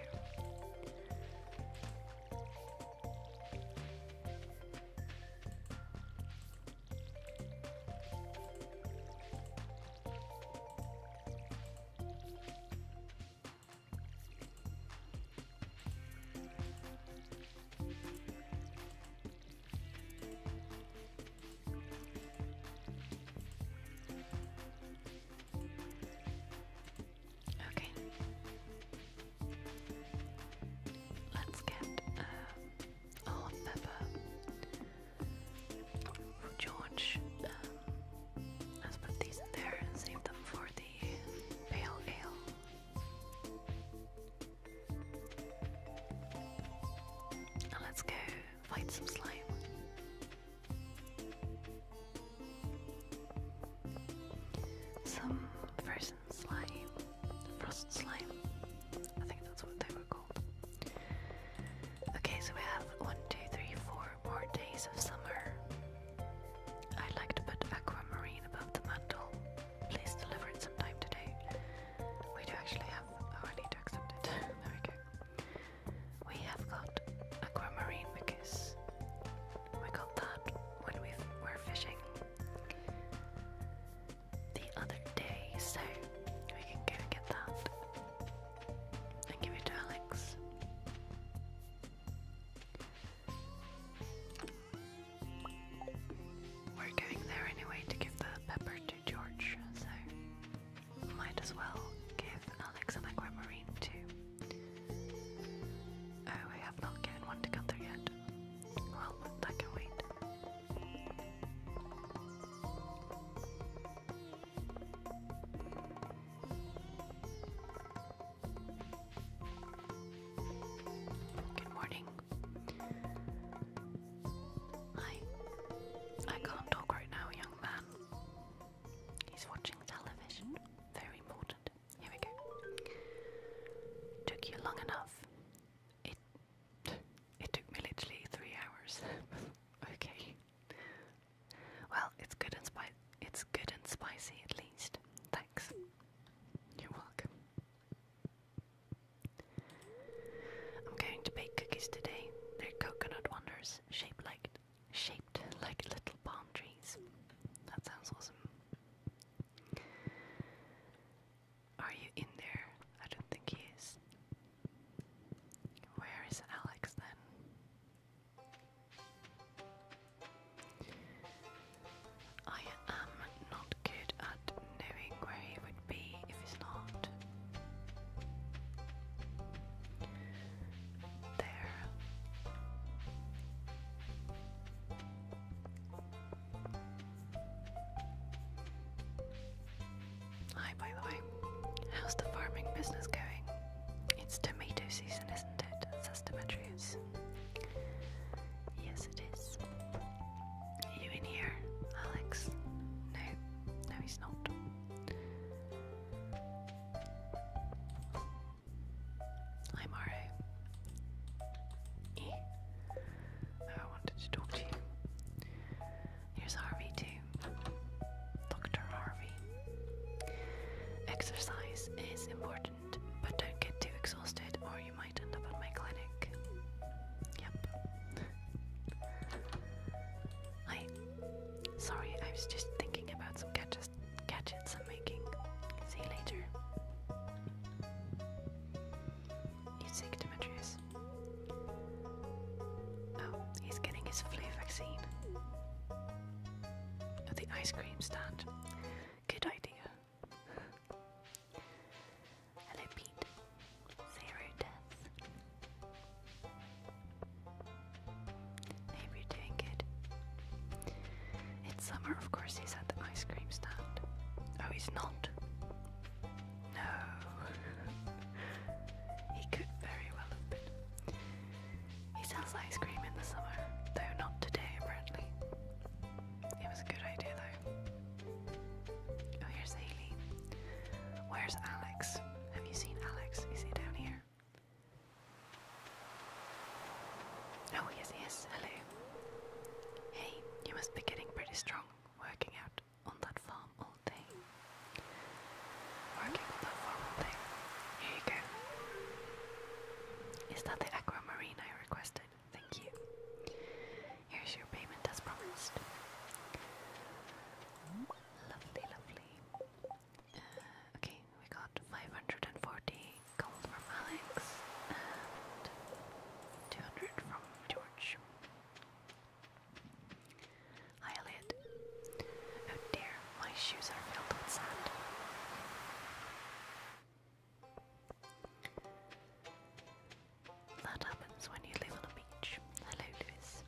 Okay. Let's get uh, oh, um, Olive Pepper. George, let's put these in there and save them for the pale ale let's go find some slime. Some frozen slime, frost slime. I think that's what they were called. Okay, so we have one, two, three, four more days of summer. I'd like to put aquamarine above the mantle. Please deliver it sometime today. We do actually have. Oh, I need to accept it. <laughs> there we go. We have got aquamarine because we got that when we were fishing the other day, so we can go and get that and give it to Alex. We're going there anyway to give the pepper to George, so might as well give Alex an aquamarine too. Oh, I have not given one to Gunther yet. Well, that can wait. Good morning. I I can't talk right now, young man. He's watching television. Very important. Here we go. Took you long enough. It it took me literally three hours. <laughs> okay. Well, it's good and spicy. It's good and spicy at least. Thanks. You're welcome. I'm going to bake cookies today. They're coconut wonders, shaped like shaped like little palm trees. That sounds awesome. Are you in there? I don't think he is. Where is Alex then? I am not good at knowing where he would be if he's not. There. Hi, by the way. How's the farming business going? It's tomato season, isn't it? Says Demetrius. Yes, it is. Are you in here, Alex? No, no, he's not. Hi, Mario. E? Oh, I wanted to talk to you. Here's Harvey, too. Dr. Harvey. Exercise is important, but don't get too exhausted or you might end up at my clinic. Yep. I sorry, I was just thinking about some gadgets gadgets I'm making. See you later. You sick, Demetrius? Oh, he's getting his flu vaccine. At the ice cream stand. Good idea. Hello, Pete. Zero deaths. Maybe doing good. It's summer, of course, he's at the ice cream stand. Oh, he's not. No. <laughs> he could very well have been. He sells ice cream in the summer, though not today, apparently. It was a good idea, though. Oh, here's Haley. Where's Alex? Have you seen Alex? Is he down here? Oh, yes, yes, hello. Hey, you must be getting pretty strong working out on that farm all day. Working on that farm all day. Here you go. Is that the aquamarine I requested? Thank you. Here's your payment as promised. Lovely, lovely. Uh, okay, we got 540 gold from Alex and 200 from George. Hi, Elliot. Oh dear, my shoes are filled with sand. That happens when you live on a beach. Hello, Lewis.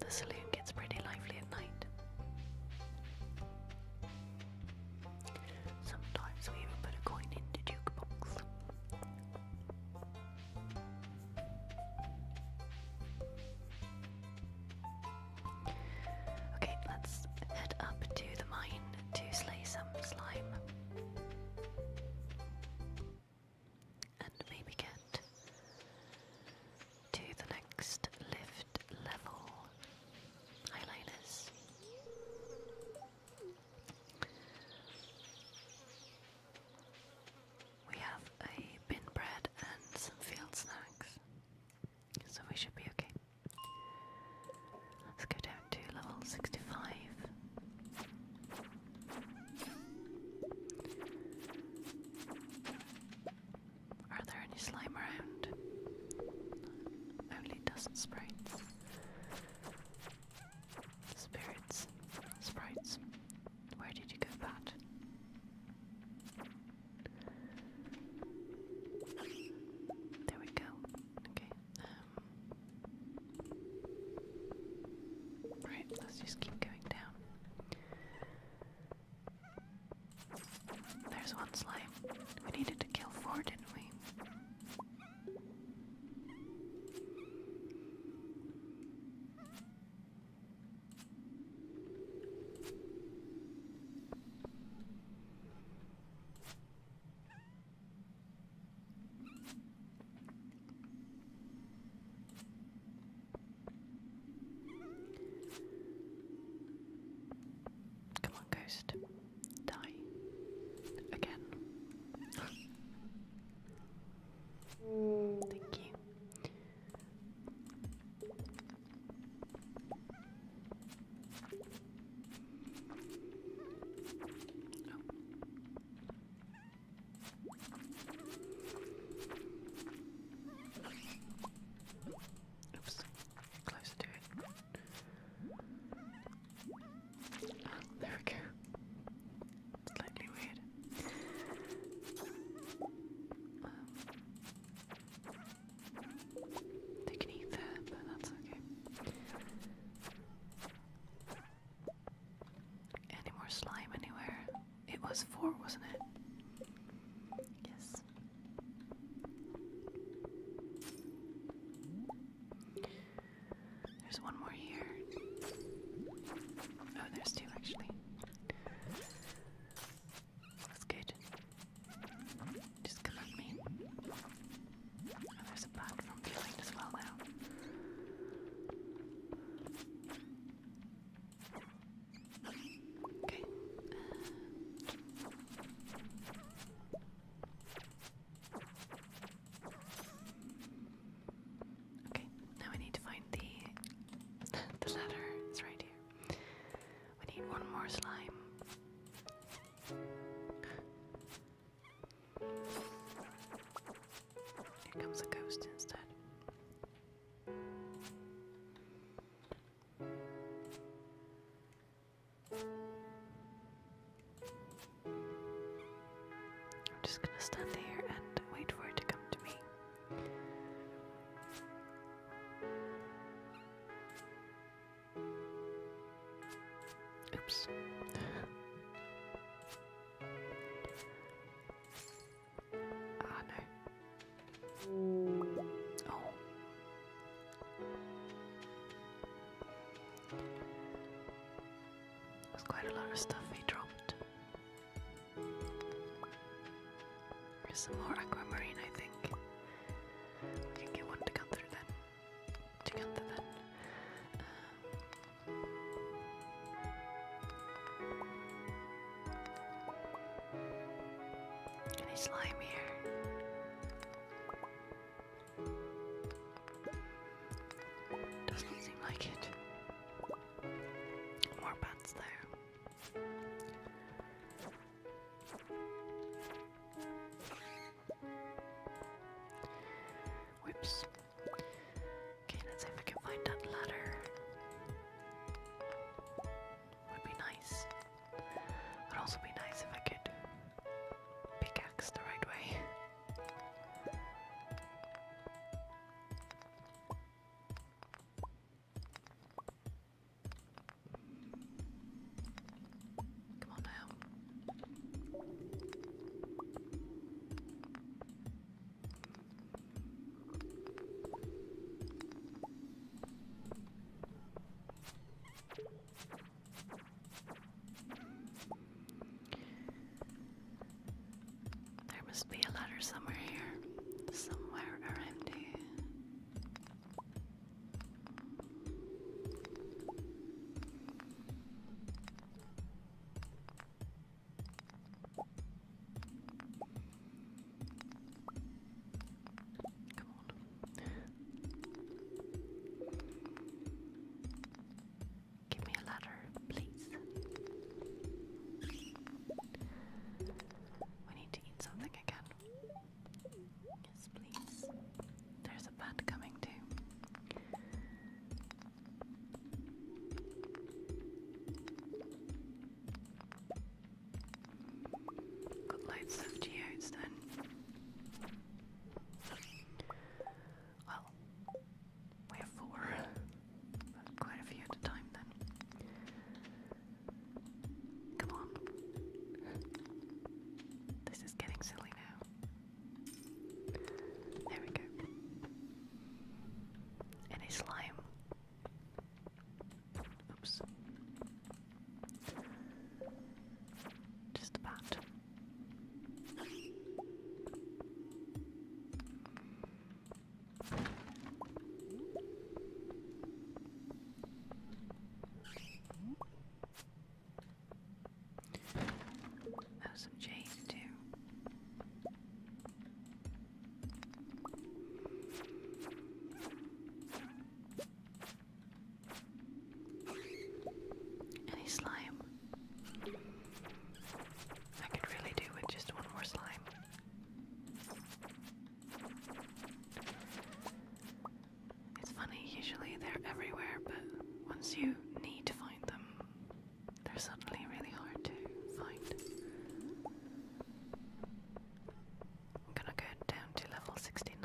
The saloon gets pretty lively at night. Sometimes we even put a coin into jukebox. Okay, let's head up to the mine to slay some slime and maybe get to the next lift level. Highliners. We have a bin bread and some field snacks, so we should be okay. Let's go down to level 65. Are there any slime around? Only dust sprites. Spirits. Sprites. Where did you go, Pat? There we go. Okay. Um, Right, let's just keep going down. There's one slime. We needed to kill four, didn't we? Come on, ghost. Die. Again. Thank you. Oops, closer to it. Ah, there we go. Slightly weird. Um, they can eat there, but that's okay. Any more slime anywhere? It was four, wasn't it? Yes. There's one more here. Oh, there's two actually. That's good. Just come at me. Oh, there's a bug. Okay. okay, now I need to find the <laughs> the ladder is right here. We need one more slime. Here comes a ghost instead. I'm just gonna stand here and wait for it to come to me. Oops. Ah, no. Oh. There's quite a lot of stuff he dropped. There's some more aquamarine, I think. We can get one together then. Together then. Uh, any slime here? Doesn't seem like it. More bats there. Whoops. Okay, let's see if I can find that ladder. Would be nice. Would also be nice if I could pickaxe the right way. Come on now. There must be a letter somewhere here, somewhere around here. Come on. Give me a ladder, please. We need to eat something again. Yes, please. There's a bat coming too. Got loads of geodes then. Well, we have four, quite a few at time then. Come on. This is getting silly now. There we go. Any slime? Oops. Just about. Oh, some jade too. Any slime? I could really do with just one more slime. It's funny, usually they're everywhere, but once you need to find them, they're suddenly really hard to find. I'm gonna go down to level 69.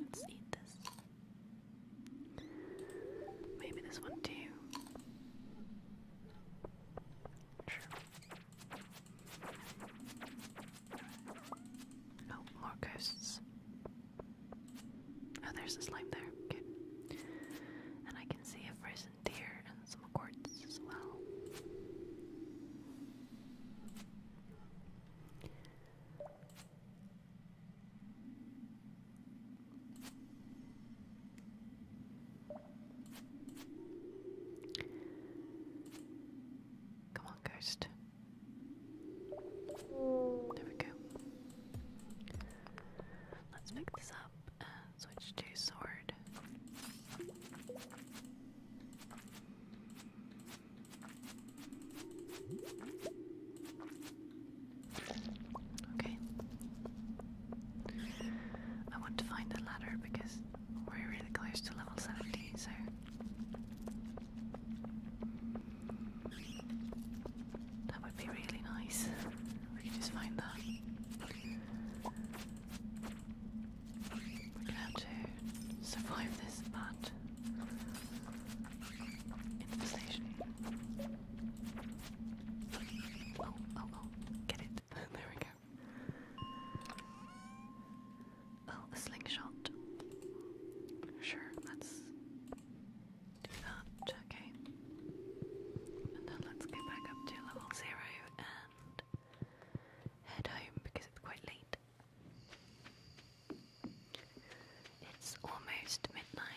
Let's eat this. Maybe this one too. Sure. Oh, more ghosts. Oh, there's a slime there. Good. And I can see a frozen deer and some quartz as well. Come on, ghost. There we go. Let's pick this up switch to sword. Okay. I want to find the ladder because we're really close to level 70, so. That would be really nice. We could just find that. we have to survive this bad Oh, oh, oh, get <laughs> there we go. Oh, slingshot. Sure, let's do that. Okay. And then let's go back up to level zero and head home because it's quite late. It's almost midnight.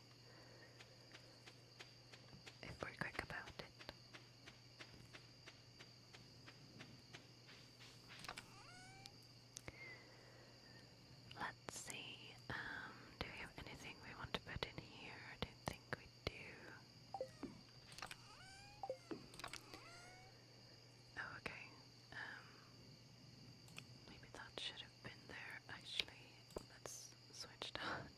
actually. If we're quick about it. Let's see, um, do we have anything we want to put in here? don't think we do. Oh, okay. Um, maybe that should I've been there actually. Let's switch that.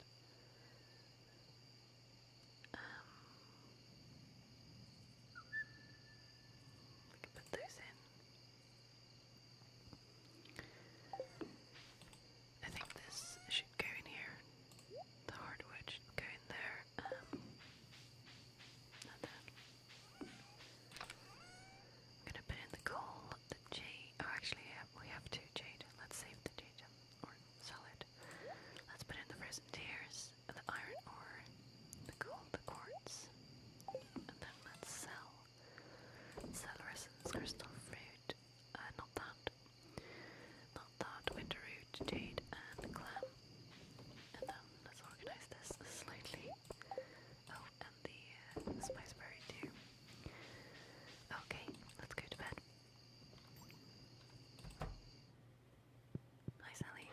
Um, we can put those in. I think this should go in here. The hardwood go in there. Um, not I'm gonna put in the coal the jade. Oh, actually, we have two jade. Let's save the jade or sell it. Let's put in the frozen tears, the iron ore, the gold, the quartz, and then let's sell. Sell resins, crystal fruit, uh, not that, not that, winter root, jade, and clam. And then let's organize this slightly. Oh, uh, the spice berry too. Okay, let's go to bed. Hi, Sally.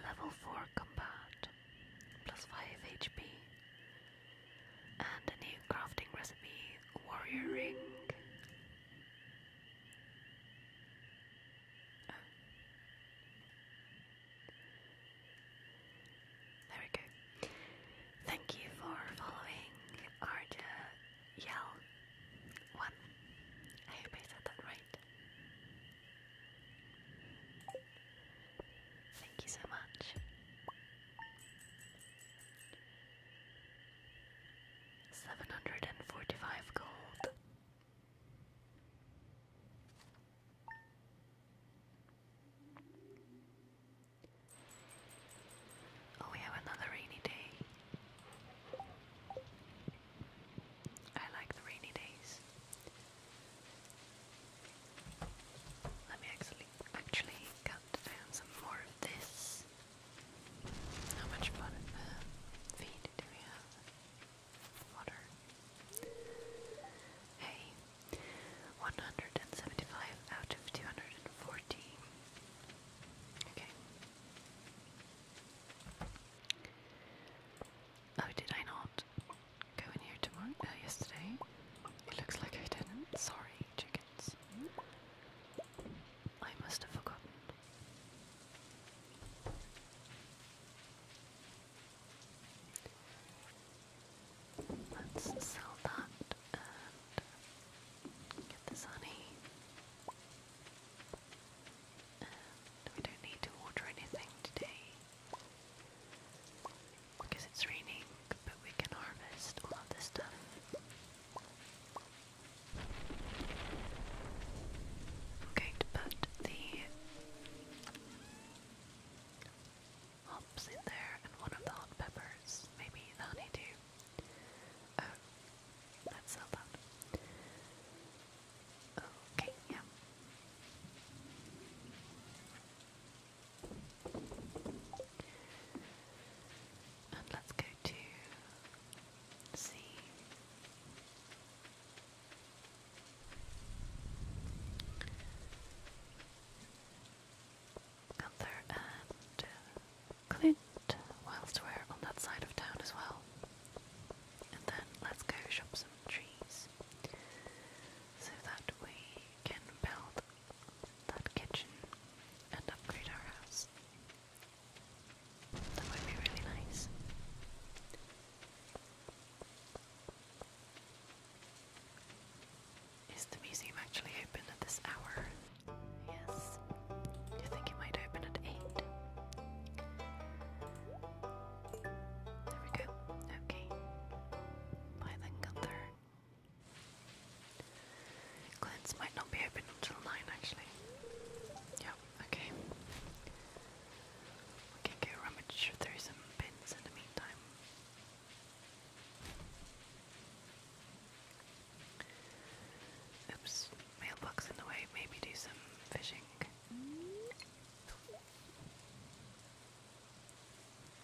Level 4 combat, plus 5 HP, and a new crafting recipe warrior ring. There we go. Thank you for following Arja Yell One. I hope I said that right. Thank you so much. Seven hundred and forty five gold. Oh, we have another rainy day. I like the rainy days. Let me actually actually cut down some more of this. How much fun Water. Hey, 175 out of 240. Okay. Oh, did I not go in here tomorrow? Uh, yesterday? It looks like I didn't. Sorry, chicken. I must have forgotten. Let's sell that and get this honey. we don't need to water anything today because it's raining, but we can harvest all of this stuff. I'm going to put the there and one of the hot peppers, maybe the honeydew. Oh, let's sell that. Okay, yeah. And let's go to Gunther and uh, Clint, whilst on that side of town as well. And then let's go shop some trees so that we can build that kitchen and upgrade our house. That would be really nice. Is the museum actually open at this hour? Yes. you think it might open at 8? There we go. Okay. Bye then, Gunther. Glenn's might not be open until 9 actually. Yep, okay. We can go rummage through some bins in the meantime. Oops, mailbox in the way, maybe do some fishing.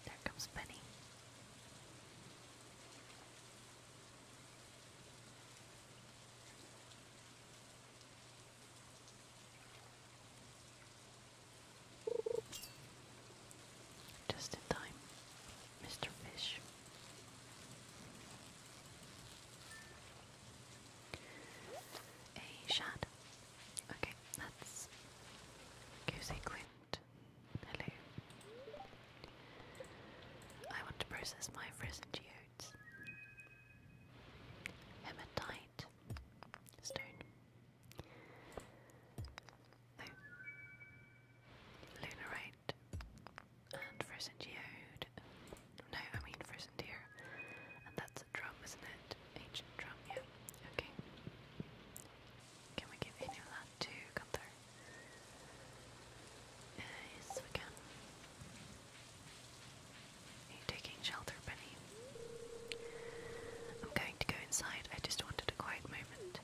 There comes Penny. Just in time, Mr. Fish. A shad. Okay, that's Goosey Quint. Hello. I want to process my frozen geodes. Hematite. Stone. No. Oh. Lunarite. And frozen geode. No, I mean frozen deer. And that's a drum, isn't it? Ancient drum, yeah. Okay. Can we give any of to Gunther? yes, we can. you taking shelter, Benny? I'm going to go inside. I just wanted a quiet moment.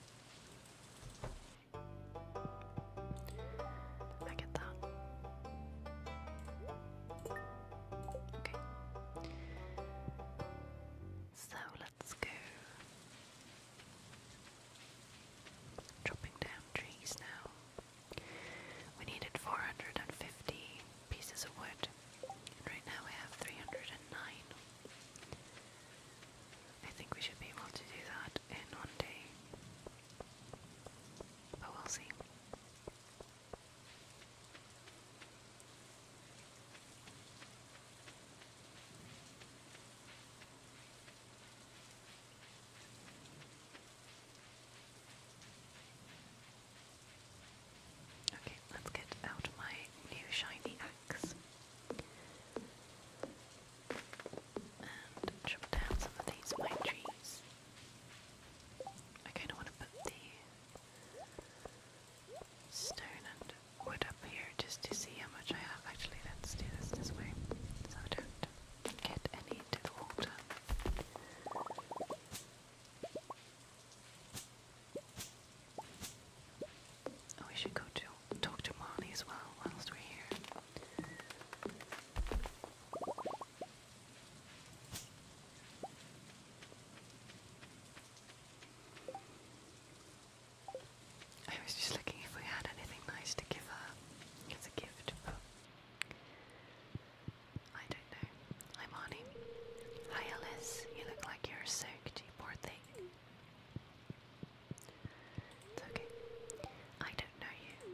I get that. Okay. So let's go chopping down trees now. We needed 450 pieces of wood, and right now we have 309. I think we should be able to do that in one day, but we'll see. Okay, let's get out my new shiny axe and chop down some of these pine trees. I kind of want to put the stone and wood up here just to see how much I have. Actually, let's do this this way so don't Oh, we should go to talk to Marnie as well whilst we're here. I was just looking if we had anything nice to give her as a gift, I don't know. Hi, Marnie. Hi, Alice. You look like you're soaked, you thing. It's okay. I don't know you.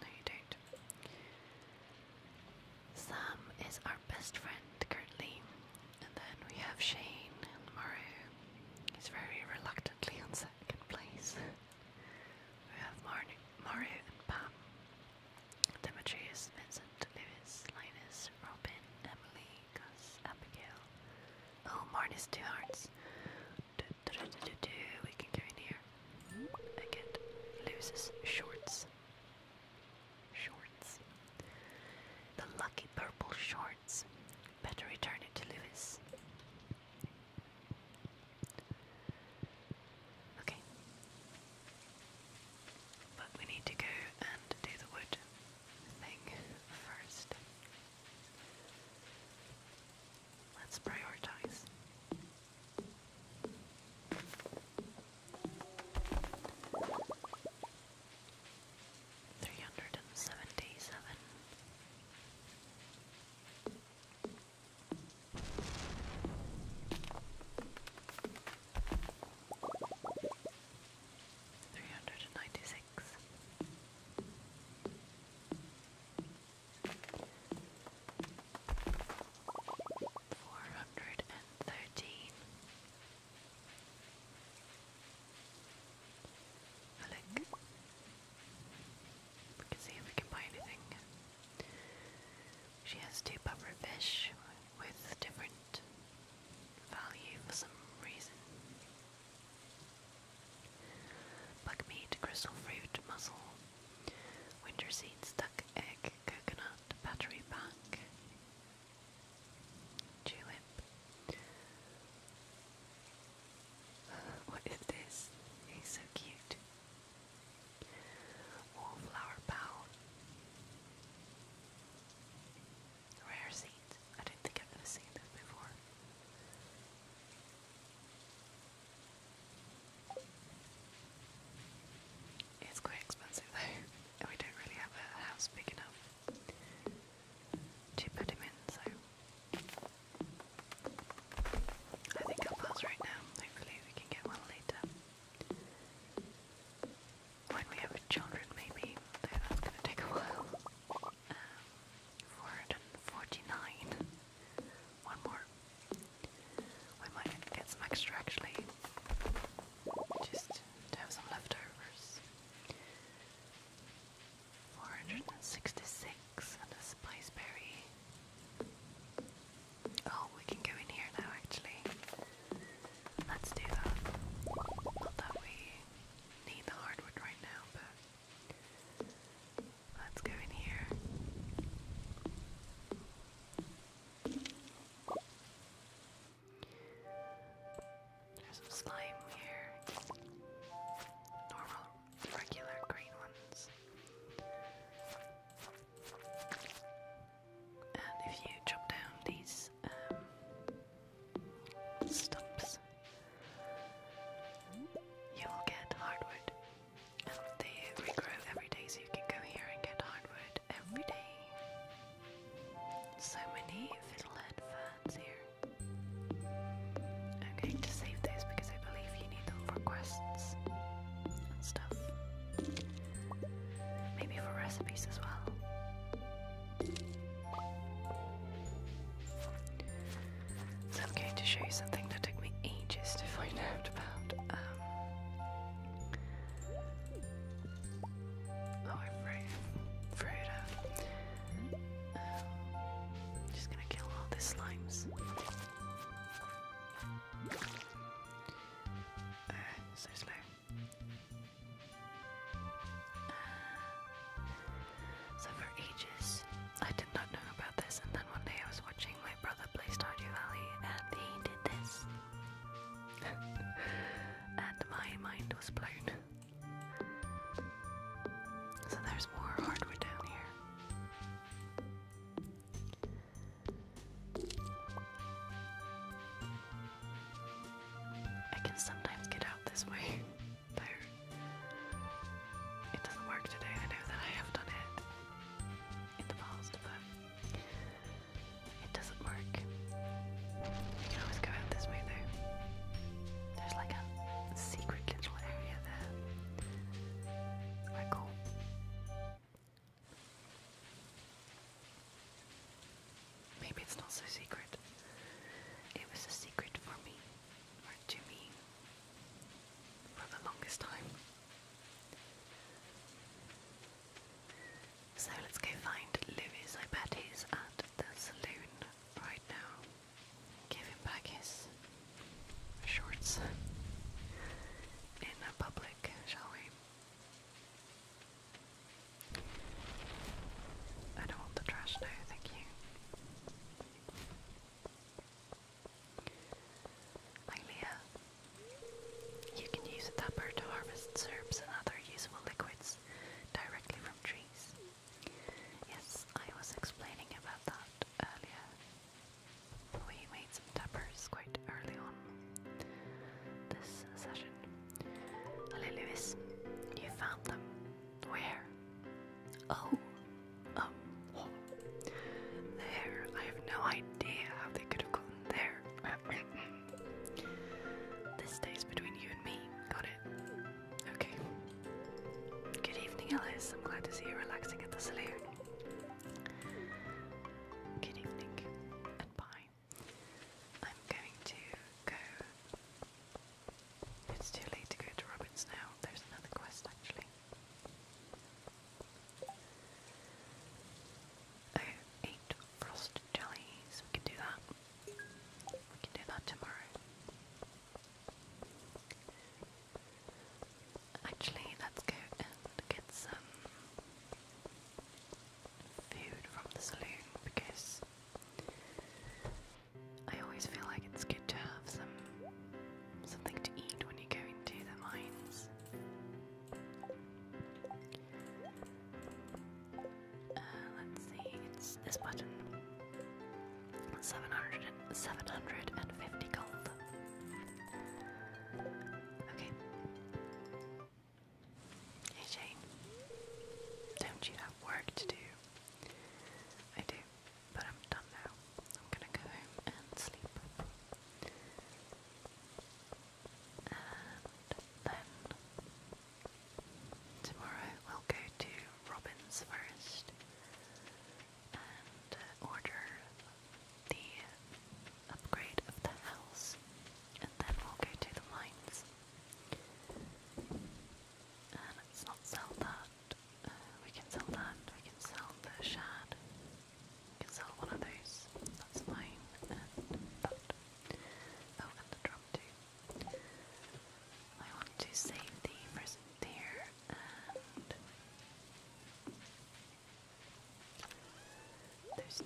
No, you don't. Sam is our best friend currently. And then we have Shane and Maru. He's very reluctantly on second place. <laughs> We have Mar- Mario and Pam, Demetrius, Vincent, Lewis, Linus, Robin, Emily, Gus, Abigail. Oh, Marnie's two hearts. Do, do, do, do, do. We can go in here. I get shorts. Shorts. The lucky purple shorts. Better return it to Lewis. Okay. But we need to go and do the wood thing first. Let's prioritize. Three hundred and seventy seven. Three hundred and ninety six. Four hundred and thirteen. Alec, we can see if we can buy anything. She has two puffer fish with different value for some reason. Buckmeat, crystal fruit, mussel, winter seeds, duck egg, coconut, battery pack, tulip, what <laughs> is this? He's so cute. Wallflower bowl. Rare seed. I don't think I've ever seen this before. It's quite expensive though, <laughs> and we don't really have a house big enough to put him in, so I think I'll pause right now. Hopefully, we can get one later. When we have children, maybe. that's going to take a while. Um, 449. One more. We might get some extra actually. Just to have some leftovers. 466 and a spiceberry. Oh, we can go in here now, actually. Let's do that. Not that we need the hardwood right now, but let's go in here. There's some slime here. Normal regular green ones. And if you chop down these um, stumps, you will get hardwood. And they regrow every day, so you can go here and get hardwood every day. So many fiddlehead ferns here. I'm going to save this because I believe need them for quests and stuff. Maybe for recipes as well. So I'm going to show you something that took me ages to find <laughs> out about. Um, oh, I froze. Froze out. Um, just gonna kill all the slimes. Uh, so slow. Uh, so for ages, I did not know about this, and then one day I was watching my brother play Stardew Valley, and he did this, <laughs> and my mind was blown. So there's more hardwood down here. I can sometimes get out this way, <laughs> it doesn't work today. I know that I have done it in the past, but it doesn't work. You can always go out this way, though. There's like a secret little area there. Maybe it's not so secret. It was a secret for me, or to for the longest time. So let's go find Louis. I bet he's at the saloon right now. Give him back his shorts in a public, shall we? I don't want the trash now, thank you. Hi You can use a tapper to harvest serbs and other usable liquids directly from trees. Yes, I was explaining about that earlier. We made some tappers quite early on this session. Hello, Lewis. You found them. Where? Oh, um, oh. there. I have no idea how they could have gotten there. <coughs> this stays between you and me. Got it. Okay. Good evening, Alice. I'm glad to see you relaxing at the saloon. Good evening and bye. I'm going to go. It's too late to go to Robbins now. There's another quest actually. Oh, eight frost jellies. We can do that. We can do that tomorrow. Actually, let's go and get some food from the saloon because I always feel like it's good to have some something to eat when you are going to the mines. Uh, let's see, it's this button. 700 gold. Okay. Hey Shane, don't you have work to do? I do, but I'm done now. I'm gonna go home and sleep. And then tomorrow we'll go to Robin's Forest and order the upgrade of the house, and then we'll go to the mines. And let's not sell that. Uh, we can sell that. We can sell the shad. can sell one of those. That's fine. And that. Oh, and the drum too. I want to save the present here and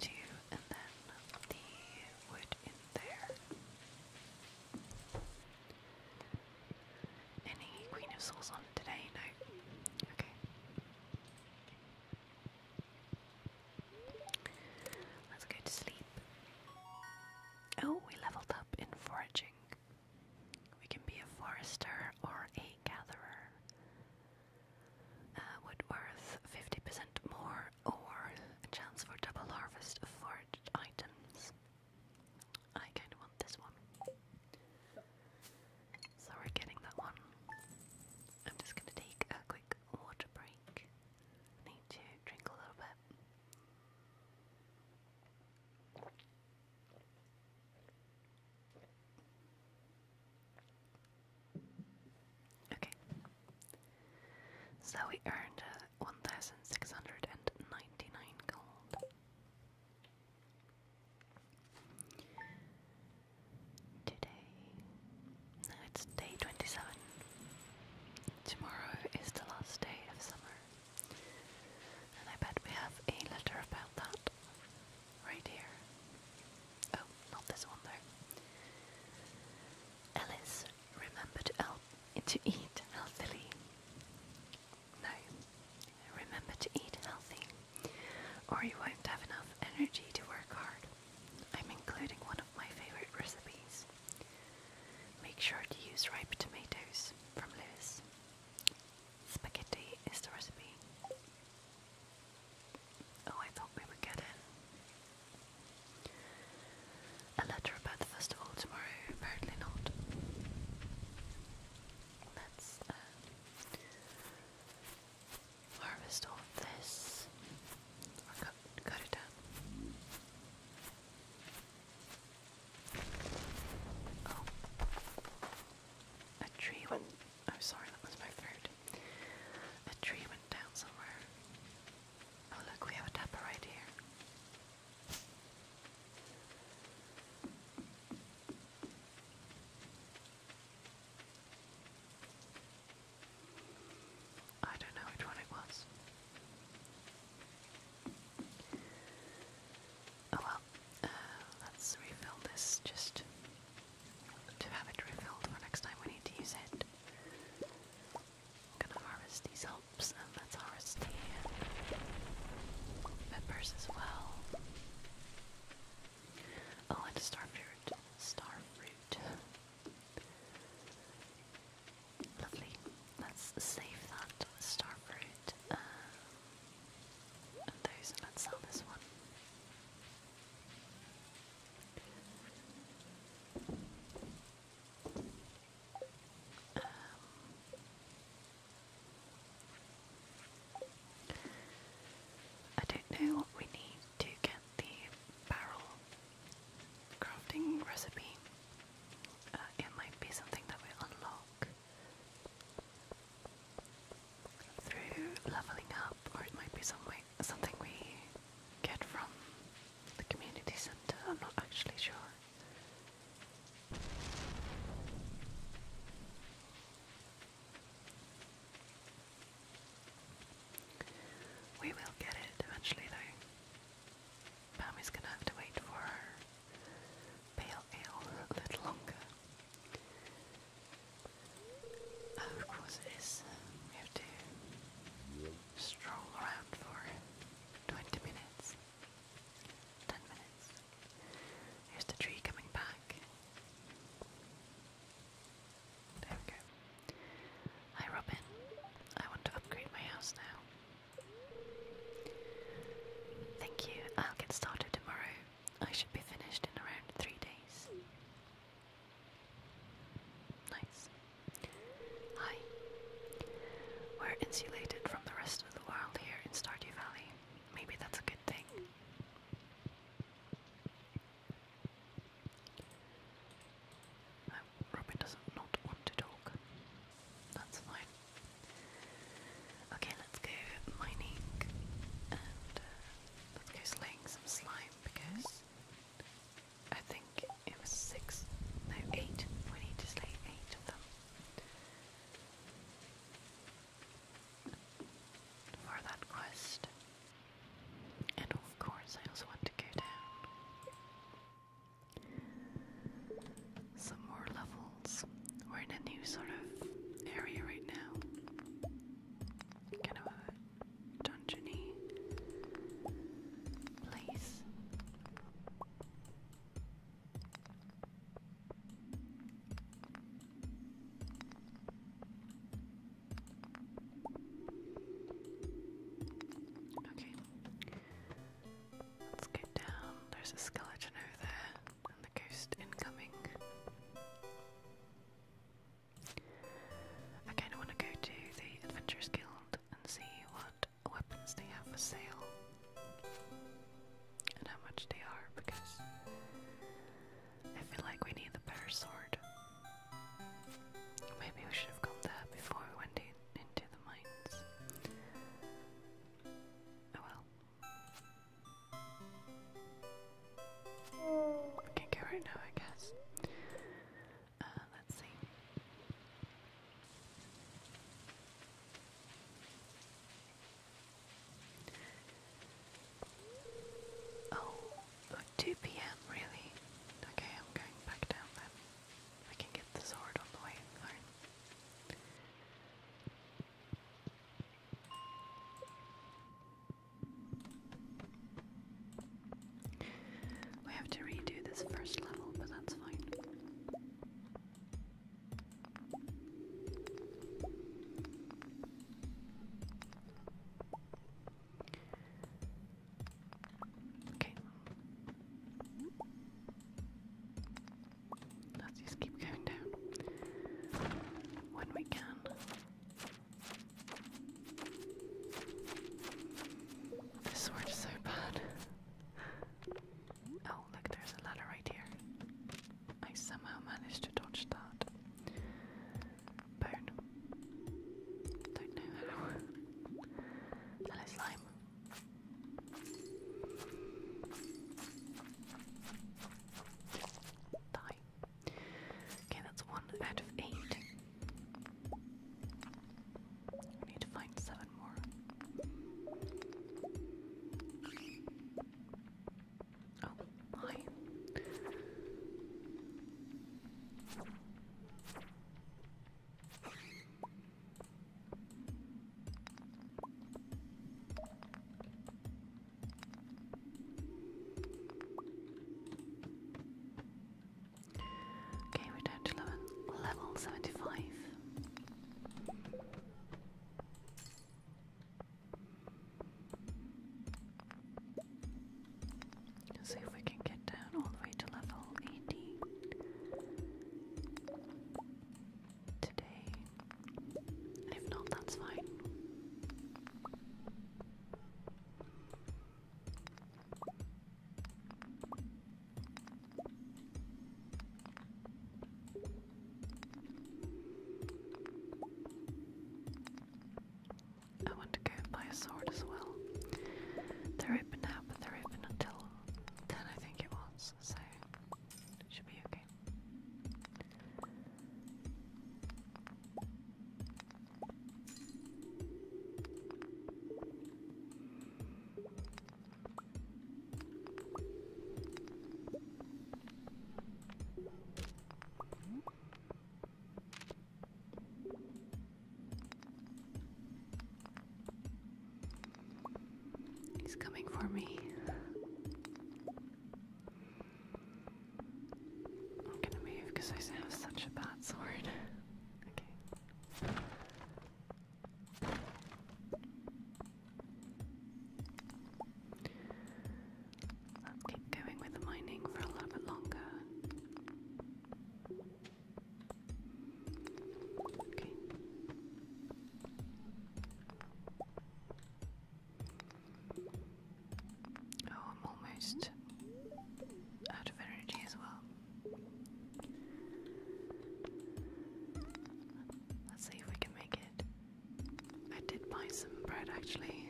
two, and then the wood in there. Any Queen of Souls on today? No. Okay. Let's go to sleep. Oh, we leveled up in foraging. We can be a forester or a gatherer. Uh, wood worth 50% more, or a chance for double harvest of foraged items. I kind of want this one. So we're getting that one. I'm just going to take a quick water break. Need to drink a little bit. Okay. So we earned uh, 1,699 gold. Today. it's day 27. Tomorrow is the last day of summer. And I bet we have a letter about that right here. Oh, not this one though. Alice remembered to eat healthily. No, remember to eat healthy, or you won't have enough energy to work hard. I'm including one of my favorite recipes. Make sure to use ripe tomatoes from Lewis. Spaghetti is the recipe. Oh, I thought we would get in. A letter about the festival tomorrow? Apparently not. Let's um, harvest all of this or cut, it down. Oh. A tree went. Oh, sorry, that was my throat. A tree went down somewhere. Oh, look, we have a dapper right here. I don't know which one it was. Oh well, uh, let's refill this just to have it refilled for next time we need to use it. I'm gonna harvest these hops and let's harvest the peppers as well. Oh, and starfruit. Starfruit. Lovely. Let's save that starfruit. Uh, those, let's sell this one. Um, I don't know what we need to get the barrel crafting recipe. Uh, it might be something that we unlock through leveling up, or it might be something we get from the community center. I'm not actually sure. We will get it eventually, though. Pammy's gonna have to wait for pale ale a little longer. Oh, of course it is. We have to stroll around for 20 minutes. 10 minutes. Here's the tree coming back. There we go. Hi Robin. I want to upgrade my house now. Thank you. I'll get started tomorrow. I should be finished in around three days. Nice. Hi. We're insulated from the rest of the world here in Stardew Valley. Maybe that's a good thing. Uh, Robin doesn't not want to talk. That's fine. Okay, let's go mining and let's uh, go slaying some slime because I think it was six, no, eight. We need to slay eight of them. For that quest. And of course, I also want to go down some more levels. We're in a new sort of area right now. Kind of a dungeony place. Okay. Let's get down. There's a skeleton over there and the ghost incoming. I kind of want to go to the Adventurers Guild and see what weapons they have for sale and how much they are because I feel like we need the better sword. Maybe we should have gone there before we went into the mines. Oh well. I can go right now, I guess. Uh, let's see. Oh, 2 p.m. really? Okay, I'm going back down then. I can get the sword on the way, though. We have to redo this first level, but that's fine. Okay. Let's just keep going down when we can. This sword is so bad. Oh, look, there's a ladder right here. I somehow managed to dodge that. Burn. Don't know how. Hello, slime. Okay, that's one out of eight. need to find seven more. Oh, Okay, we're down to level, 75. Let's see if we can get down all the way to level 18 today if not, that's fine. I want to go buy a sword as well. They're open now, but they're open until 10, I think it was, so should be He's coming for me. I'm gonna move because I have such a bad sword. okay. Let's keep going with the mining for a little bit longer. Okay. Oh, I'm almost out of energy as well. Let's see if we can make it. I did buy some bread actually.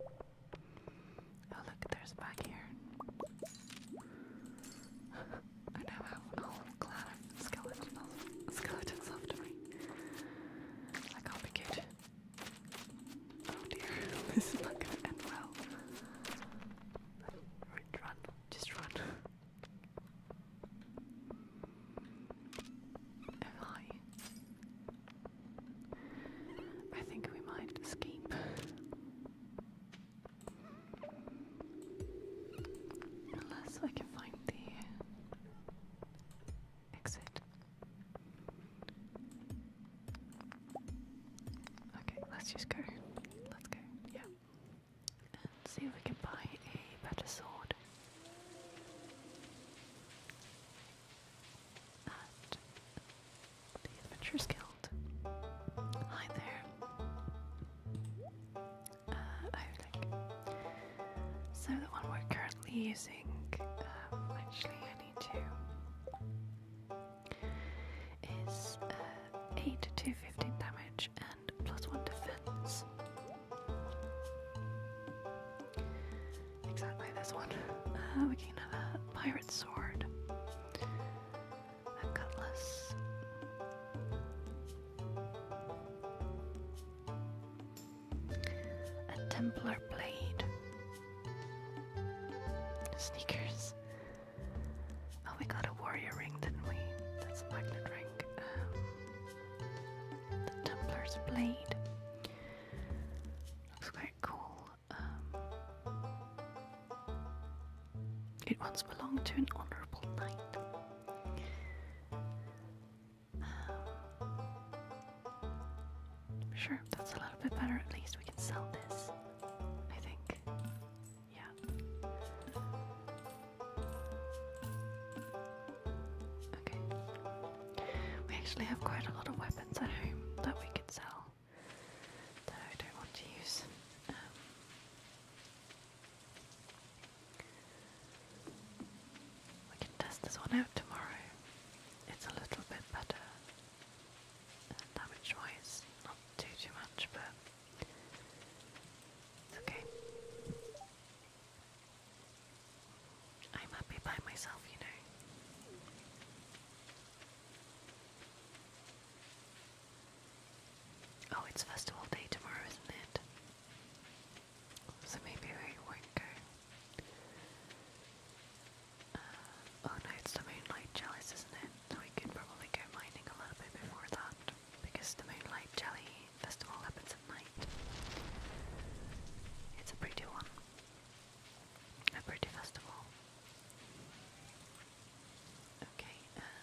Oh, look, there's back here. <laughs> I now have a whole clan of skeletons, skeletons after me. I can't be good. Oh dear, <laughs> this is not gonna end well. run, just run. Oh hi. I think we might escape. Unless I can find the Exit. Okay, let's just go. Let's go. Yeah. And see if we can buy a better sword. And the Adventurers Guild. Hi there. Uh, so the one we're currently using, um, actually I need to, is uh, 8 to 15 damage and plus 1 defense. Exactly this one. Uh, we can have a pirate sword, a cutlass. A Templar blade. Sneakers. Oh, we got a warrior ring, didn't we? That's a magnet ring. Um, the Templar's blade. Looks quite cool. Um, it once belonged to an honorable knight sure, that's a little bit better. At least we can sell this, I think. Yeah. Okay. We actually have quite a lot of weapons at home that we could sell that I don't want to use. Um, we can test this one out tomorrow. It's a little bit better. Damage wise, not too too much, but it's okay. I'm happy by myself, you know. Oh, it's festival day tomorrow, isn't it? So maybe we won't go. oh no, it's the Moonlight Chalice, isn't it? So we could probably go mining a little bit before that, because the Moonlight Jelly Festival happens at night. It's a pretty one. A pretty festival. Okay, um,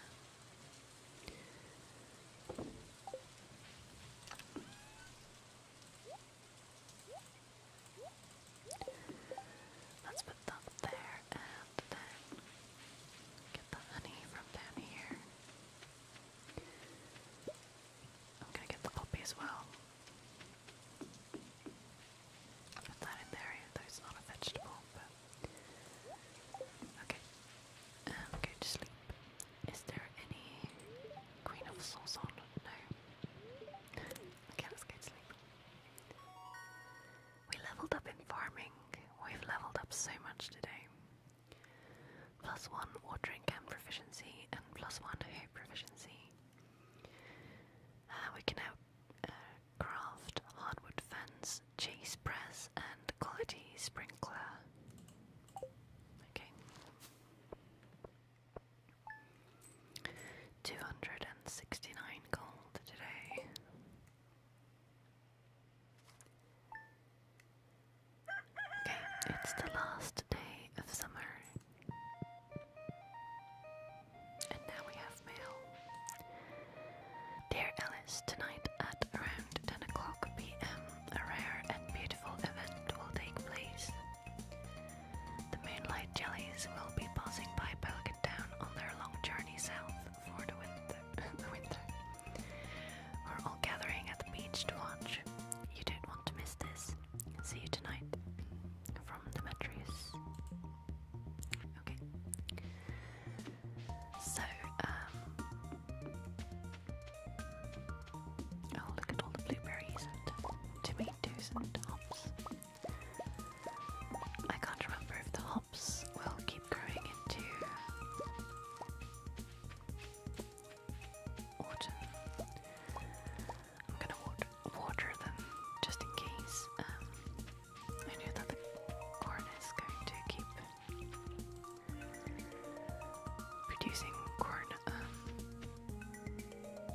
Let's put that there and then get the honey from down here. I'm gonna get the poppy as well. Put that in there, though it's not a vegetable, Okay. I'm going to sleep. Is there any Queen of Souls on? No. Okay, let's get sleep. We leveled up in farming. We've leveled up so much today. Plus one watering can proficiency and plus one hoop proficiency. Uh, we can now uh, craft hardwood fence, cheese press, and quality sprinkler. Okay. 269 gold today. Okay, it's the last day of summer. And now we have mail. Dear Ellis, tonight at around 10 o'clock pm, a rare and beautiful event will take place. The Moonlight Jellies will be passing by Pelican Town on their long journey south for the winter. <laughs> We're all gathering at the beach to watch. You don't want to miss this. See you tonight. From Demetrius. Okay. So, um, Oh, look at all the blueberries and tomatoes and hops. I can't remember if the hops will keep growing into autumn. I'm gonna water, them just in case. Um, I know that the corn is going to keep producing corn. Um,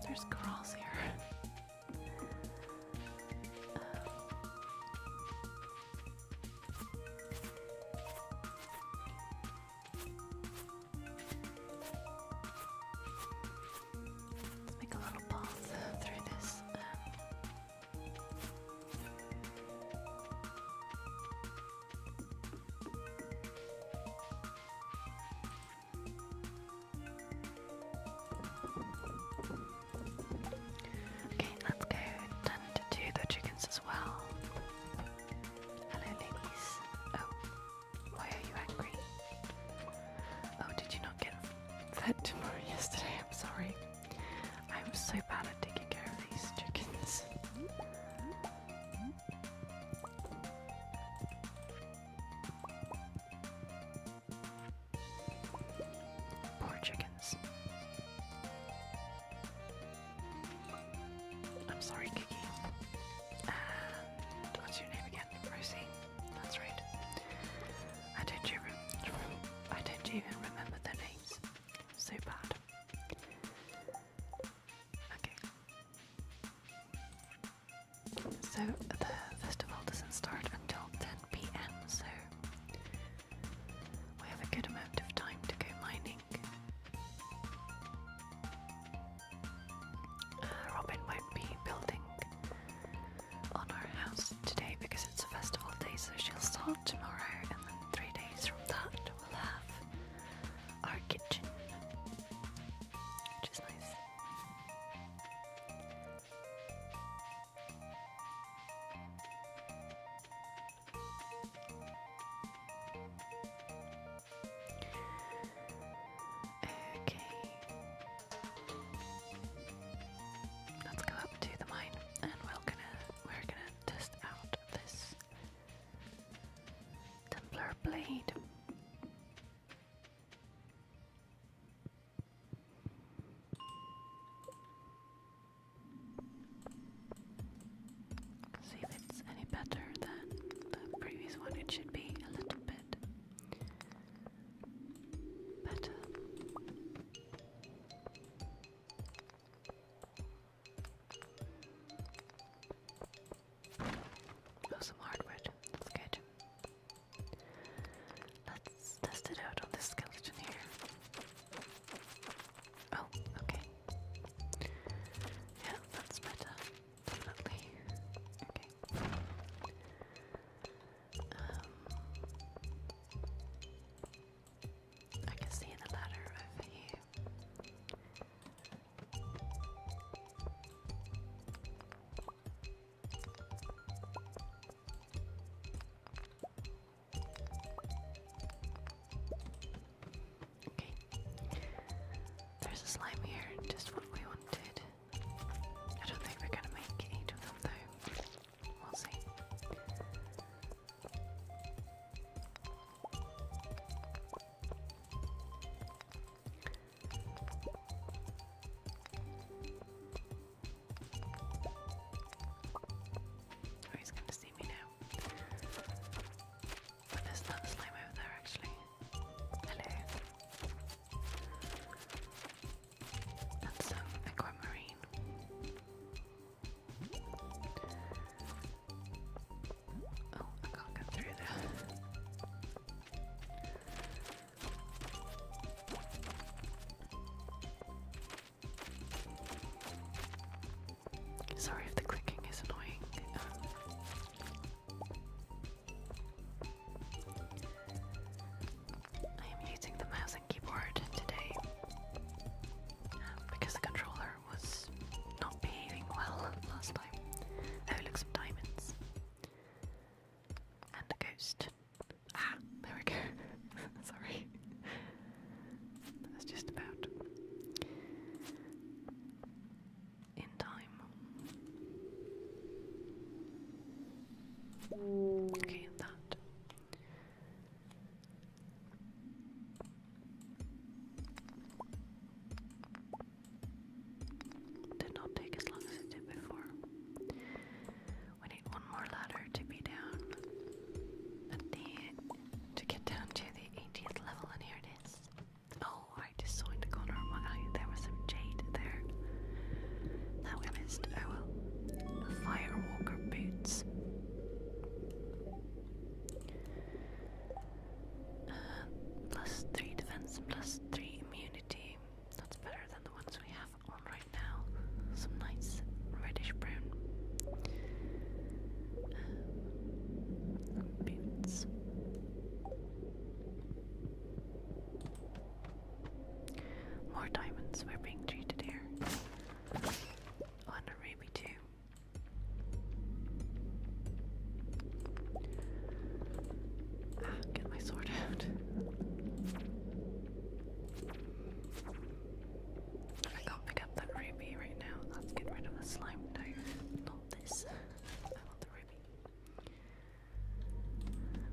there's corals here. <laughs> Let's make a little path through this. Um, Okay, let's go down to the chickens as well. Hello, ladies. Oh, why are you angry? Oh, did you not get fed yesterday? I'm sorry. I'm so bad at taking care of these chickens. Poor chickens. I'm sorry, Kiki. what's your name again? Rosie. That's right. I don't even, I don't even remember their names. So bad. Okay. So the festival doesn't start until 10 pm, so we have a good amount of time to go mining. Uh, Robin might be building on our house today because it's a festival day, so she'll start tomorrow, and then three days from that we'll have our kitchen, Okay. Let's go up to the mine and we're gonna we're gonna test out this Templar blade. See if it's any better than the previous one. It should be a little bit better. Oh, some hardwood. That's good. Let's test it out on this skeleton here. Oh, okay. Yeah, that's better. Definitely. Okay. Um, I can see the ladder over here. Okay. There's a slime here, just what we wanted. I don't think we're gonna make eight of them though. We'll see. Oh, he's going to see me now. there's another slime over there, actually. Hello. And some um, aquamarine. Sorry if the clicking is annoying. I am using the mouse and keyboard today um, because the controller was not behaving well <laughs> last time. Oh, look, some diamonds. And a ghost. Ah, there we go. <laughs> Sorry. That's just about. In time. Okay, that. Did not take as long as it did before. We need one more ladder to be down the to get down to the 18th level, and here it is. Oh, I just the corner there was some jade there. That we missed. Oh well. Firewalker boots. 3 defense and plus 3 immunity. That's better than the ones we have on right now. Some nice reddish brown boots. More diamonds we're being treated here. Oh, a ruby too. <sighs> get my sword out. I can't pick up that ruby right now. Let's get rid of the slime. No, not this. I the ruby.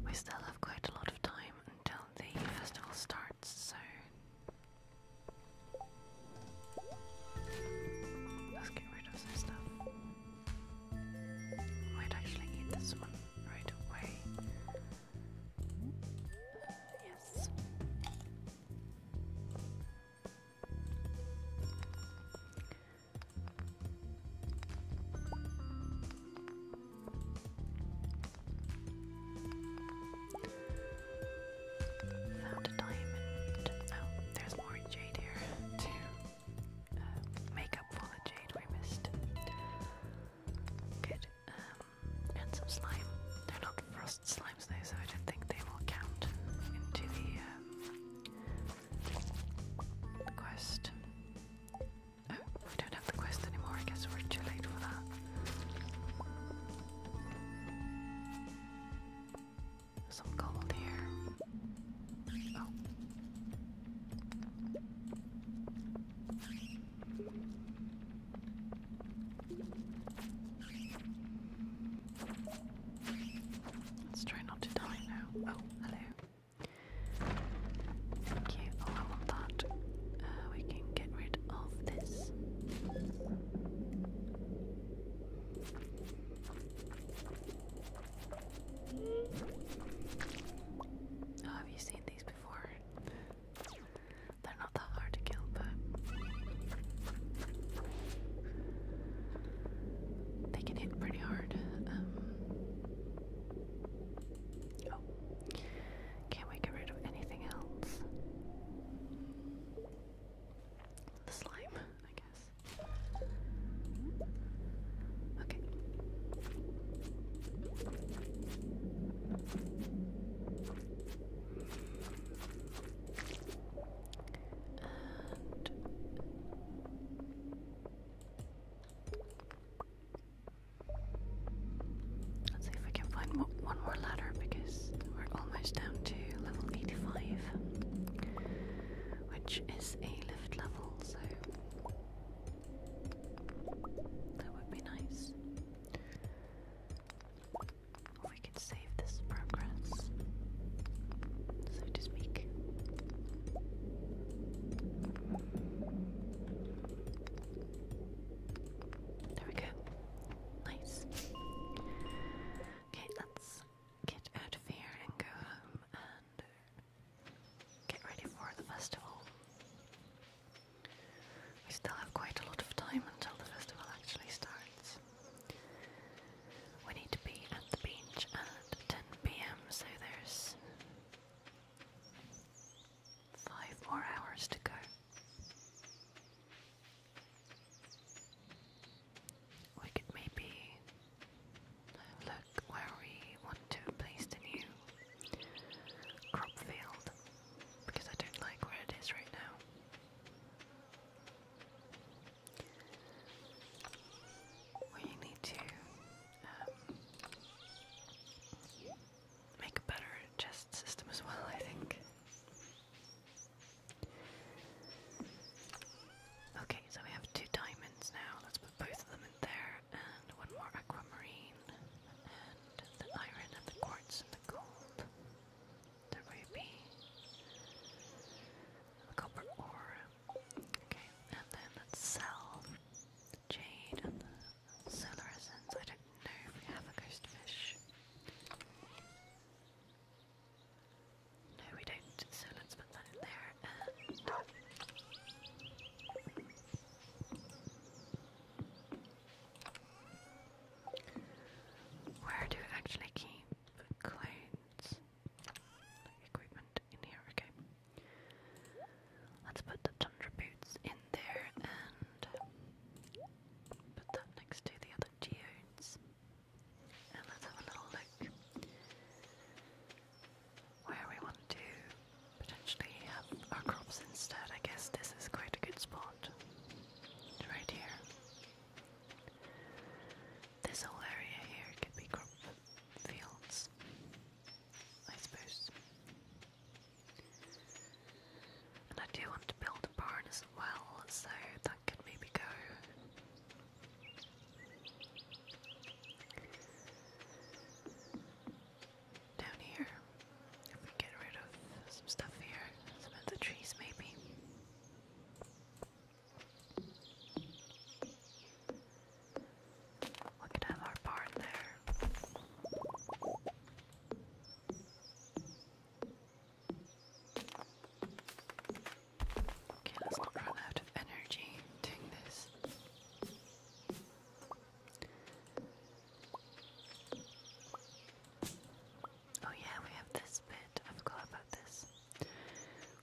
We still have quite a lot of time until the festival starts, so Let's get rid of some stuff. might actually eat this one right away. yes. Found a diamond. Oh, there's more jade here to uh, make up for the jade we missed. Good. Um, and some slime. They're not frost slimes though, so I don't think they will count into the um, quest. Oh, we don't have the quest anymore. I guess we're too late for that some gold here. Oh. Let's try not to die now. Oh, hello. Thank you. Oh, I that. Uh, we can get rid of this. Oh, have you seen these before? They're not that hard to kill, but they can hit pretty hard. Um, oh, can we get rid of anything else? The slime, I guess. Okay. Let's see if I can find one more ladder because we're almost down to level 85 which is a lift level, so that would be nice. we could save this progress, so to speak. There we go. Nice. Okay, let's get out of here and go home and get ready for the festival. We still have quite a lot of time until the festival actually starts. We need to be at the beach at 10 pm, so there's five more hours to go. We could maybe look where we want to place the new crop field because I don't like where it is right now. We need to um, make a better chest system as well, I think. Okay, so we have two diamonds now. Let's put both of them in there, and one more aquamarine, and the iron, and the quartz, and the gold, the ruby, the copper ore. Okay, and then let's sell the jade and the solar I don't know if we have a ghost fish. No, we don't, so let's put that in there Where do I actually keep clothes? Equipment in here, okay. Let's put the tundra boots in there and put that next to the other geodes let's have a little look where we want to potentially have our crops instead. I guess this is quite a good spot. Right here. This whole area here could be crop fields, I suppose. And I do want to build a barn as well, so that could maybe go down here, if we get rid of some stuff here, some of the trees maybe. We could have our barn there. Okay, let's not run out of energy doing this. Oh yeah, we have this bit. I forgot about this.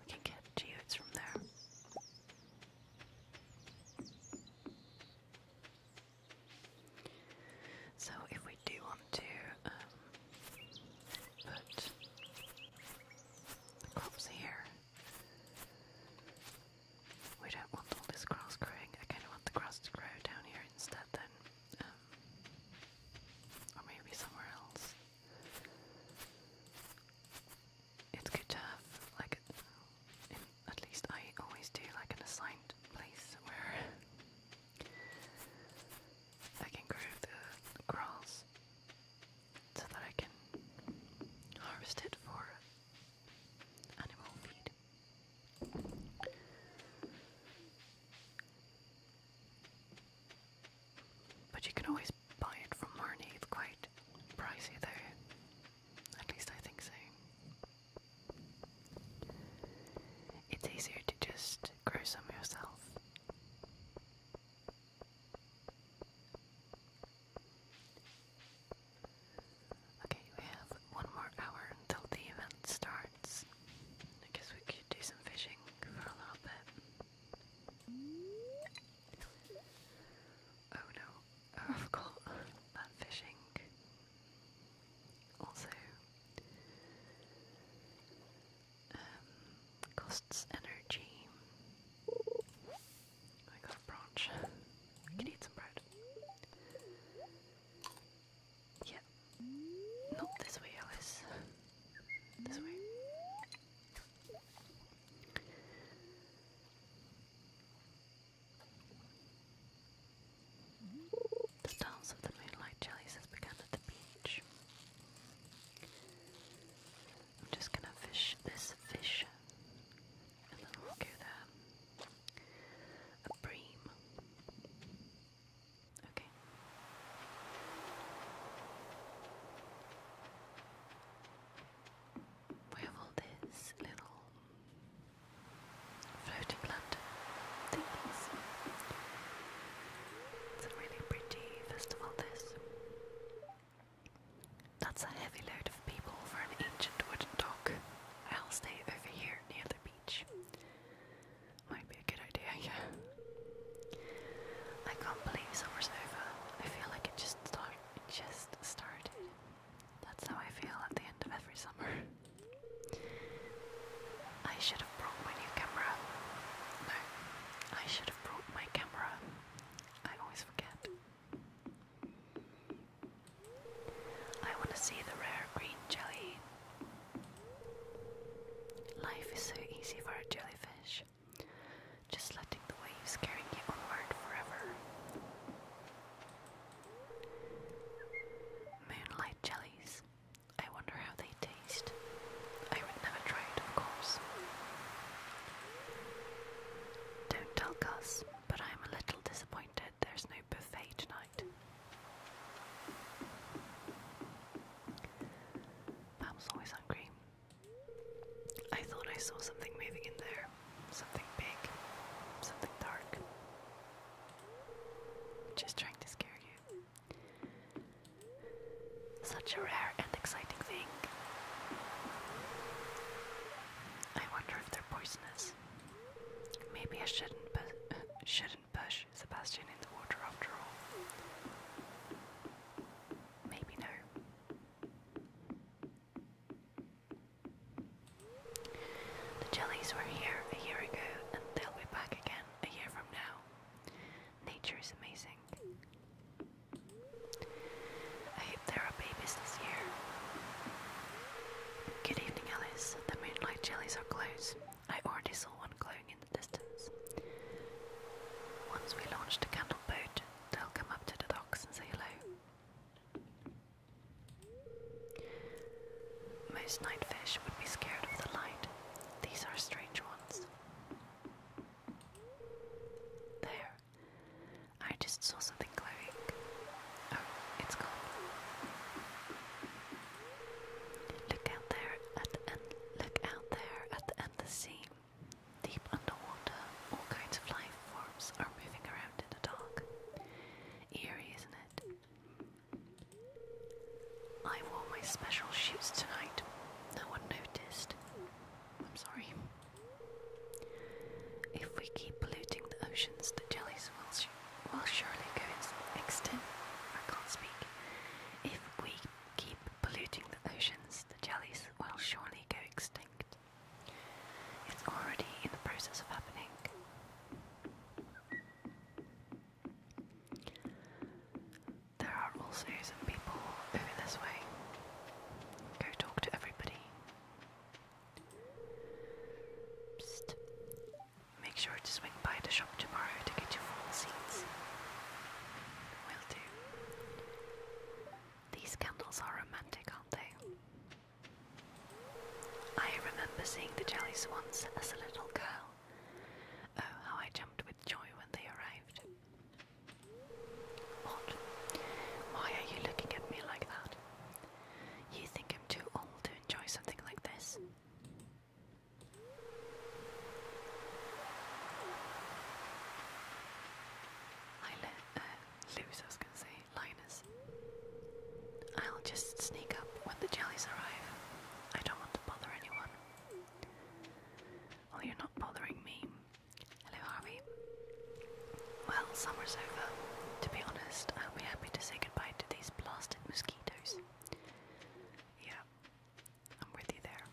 We can get geodes from there. So if we do want to um, the crops here. We don't want all this grass growing. I kind of want the grass to grow down here instead, then. Um, or maybe somewhere else. It's good to have, like, at least I always do, like, an assigned place where <laughs> I can grow the grass so that I can harvest it for animal feed. But you can always buy it from Marnie, quite pricey though. At least I think so. It's easier to just grow some yourself. Okay, we have one more hour until the event starts. I guess we could do some fishing for a little bit. Oh no, I forgot about fishing. Also, um, costs energy. I got a branch. I can eat some bread. Yeah. Not this way, Alice. This way. The dance of the moonlight jellies has at the beach. I'm just gonna fish this fish and then we'll go A bream. Okay. We have all these little floating lantern things. It's a really pretty festival, this. That's a heavy load of people for an ancient wooden dock. I'll stay over here near the beach. Might be a good idea, <laughs> I can't believe summer's over. I feel like it just start just started. That's how I feel at the end of every summer. <laughs> I should have brought my new camera. No, I should brought my camera. I always forget. I want to see the rare green jelly. Life is so easy for a jellyfish. Just letting the waves carry you onward forever. Moonlight jellies. I wonder how they taste. I would never try it, of course. Don't tell Gus, but I am a little disappointed there's no buffet tonight. Pam's always hungry. I thought I saw something moving in there. Something big. Something dark. Just trying to scare you. Such a rare and exciting thing. I wonder if they're poisonous. Maybe I shouldn't pu <laughs> shouldn't push Sebastian in the water after all. Maybe no. The jellies were here a year ago, and they'll be back again a year from now. Nature is amazing. I hope there are babies this year. Good evening, Alice. The moonlight jellies are close. I already saw one glowing in the distance. Once we launch the candle boat, they'll come up to the docks and say hello. Most night fish would be scared of the light. These are strange ones. There. I just saw something glowing. Oh, it's Look out there at the Look out there at the endless Deep underwater, all kinds of life forms are moving around in the dark. Eerie, isn't it? I wore my special shoes tonight. No one noticed. I'm sorry. If we keep polluting the oceans, the jellies will, surely go extinct. I can't speak. If we keep polluting the oceans, the jellies will surely go extinct. It's already in the process of happening. There are also some people over this way. Go talk to everybody. Psst. Make sure to swing by the shop tomorrow to get your full seats. Will do. These candles are romantic, aren't they? I remember seeing the jelly swans as a little girl. Oh, how I jumped with joy when they arrived. Odd. Why are you looking at me like that? You think I'm too old to enjoy something like this? Uh, I'll just sneak up when the jellies arrive. I don't want to bother anyone. Well, you're not bothering me. Hello, Harvey. Well, summer's over. To be honest, I'll be happy to say goodbye to these blasted mosquitoes. Yeah, I'm with you there.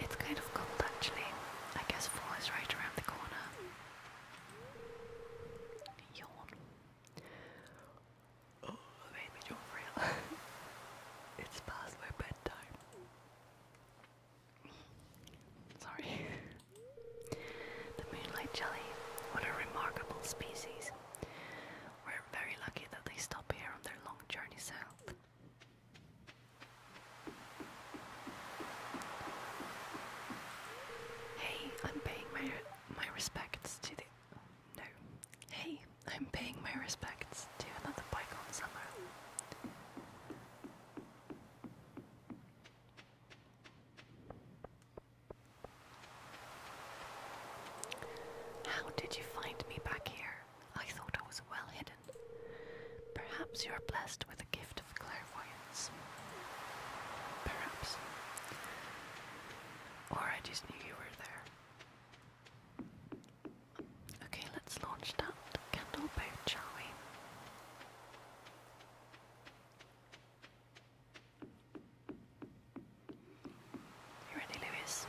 It's kind of cold actually. I guess fall is right around the corner. Yawn. Oh, that made me yawn for real. it's past my bedtime. Sorry. the moonlight jelly, what a remarkable species. We're very lucky that they stop here on their long journey south. Hey, I'm paying my my respects to the no. Hey, I'm paying my respects to another bygone summer. How did you find me back here? I thought I was well hidden. Perhaps you are blessed with a gift of clairvoyance. Perhaps. Or I just knew you were there. Okay, let's launch that candle boat, shall we? You ready, Lewis?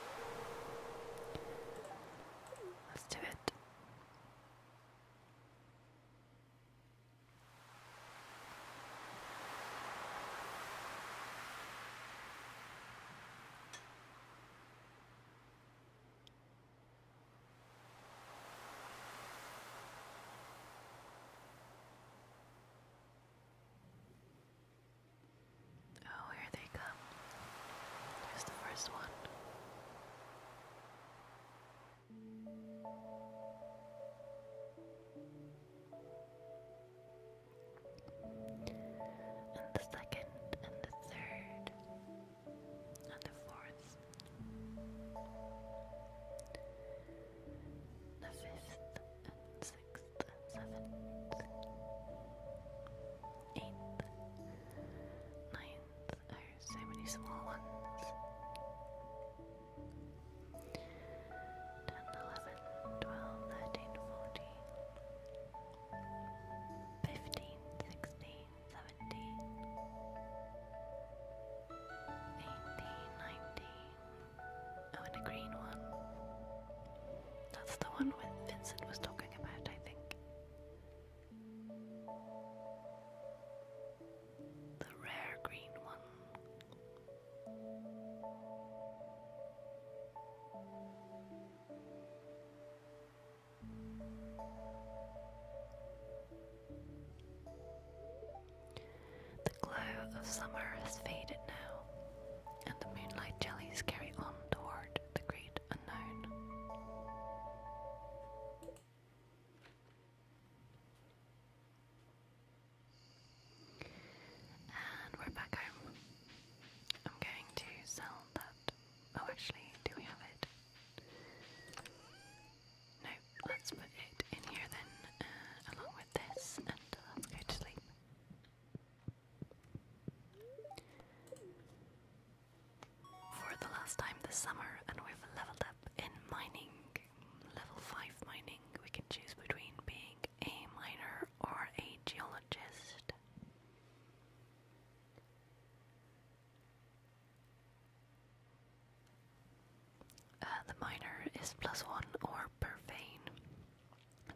Let's do it. Oh, here they come. Here's the first one. And the second, and the third, and the fourth, the fifth sixth seventh, eighth, ninth are so many small ones. 10, Fifteen, sixteen, seventeen, eighteen, nineteen. Oh, and a green one. That's the one when Vincent was talking about, I think. The rare green one. The glow of summer has faded now, and the moonlight jellies carry on toward the great unknown. And we're back home. I'm going to sell that Oh, actually, do we have it? No, let's put it in here then, uh, along with this, and uh, let's go to sleep. For the last time this summer, and we've leveled up in mining. Level 5 mining, we can choose between being a miner or a geologist. Uh, the miner is plus one or per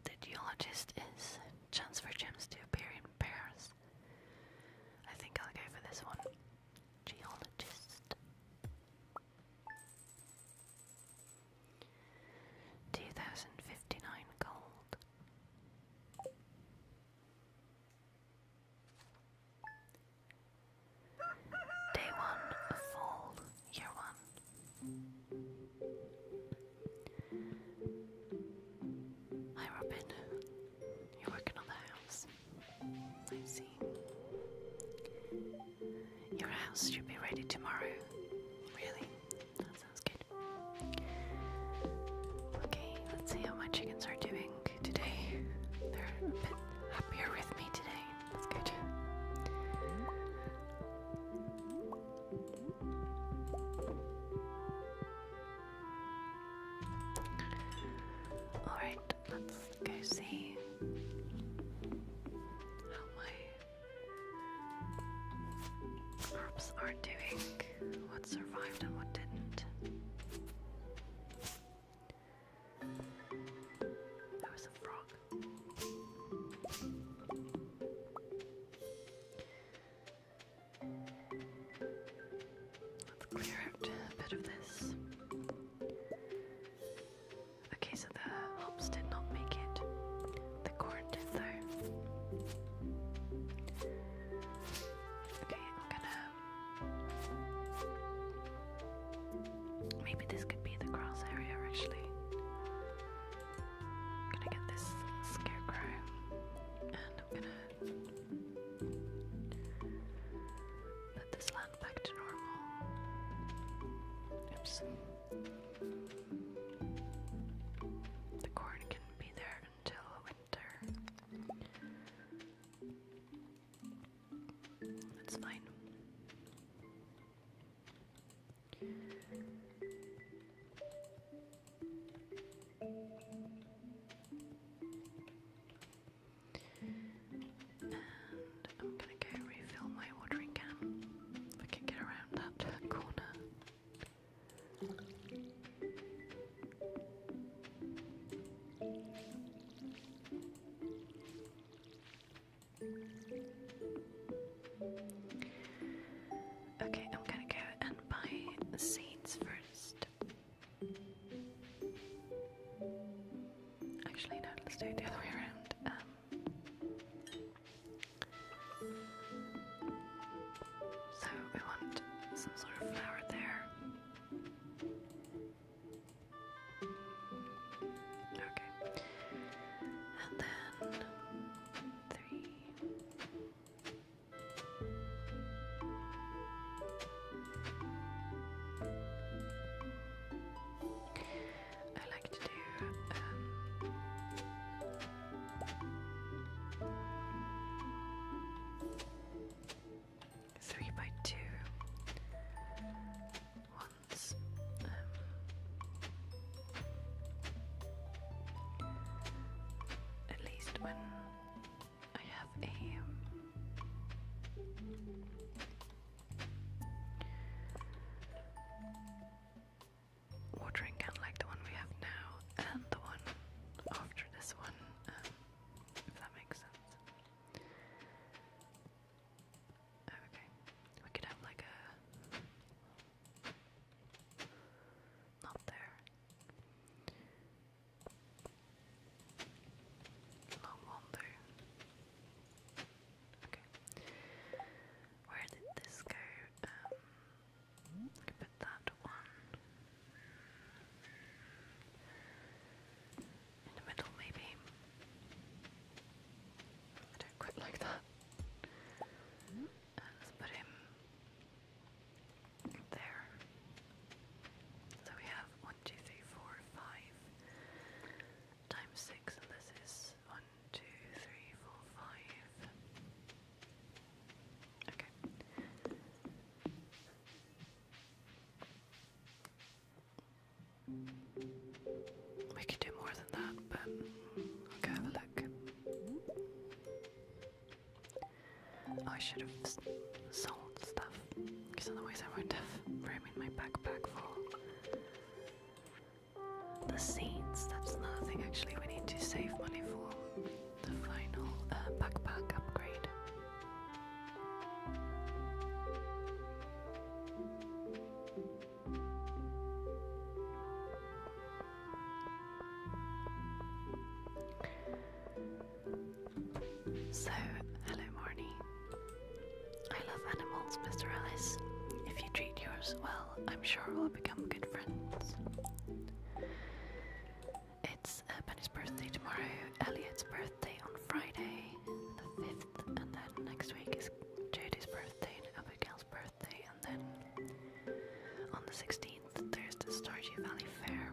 The geologist is transfer gems to appear in pairs. I think I'll go for this one. Geologist. 2059 gold. Day one of fall, year one. Hi Robin, you're working on the house. I see. Your house should be ready tomorrow. Really? That sounds good. Okay, let's see how my chickens are doing today. They're a bit happier with me today. That's good. Alright, let's go see how my crops are doing what survived and what didn't. That was a frog. Let's clear out a bit of this. Okay, so the hops did not make it. The corn did though. Okay, I'm gonna. Maybe this could be the grass area actually. gonna get this scarecrow and I'm gonna put this land back to normal. Oops. The corn can be there until winter. That's fine. And I'm gonna go refill my watering can if can get around that <laughs> corner. Okay, I'm gonna go and buy seeds first. Actually, no, let's do it the other way around. Um, so we want some sort of flower there. Okay. And then three. I like to do um, Three by two. Um, at least when I have a um, watering can like the one we have now and the one after this one um, if that makes sense. Okay, we could have like a. Not there. Long one Okay. Where did this go? Um, I could put that one in the middle, maybe. don't quite like that. Uh, let's put him there. So we have one, two, three, four, five times six, and this is one, two, three, four, five. Okay. We could do more than that, but i look. I should have sold stuff, because otherwise I would not have room in my backpack for the scenes. That's nothing. actually, we need to save money for the final uh, backpack upgrade. So, hello, Morny. I love animals, Mr. Ellis. If you treat yours well, I'm sure we'll become good friends. It's Benny's birthday tomorrow, Elliot's birthday on Friday, the 5th, and then next week is Jodie's birthday and Abigail's birthday, and then on the 16th there's the Stardew Valley Fair,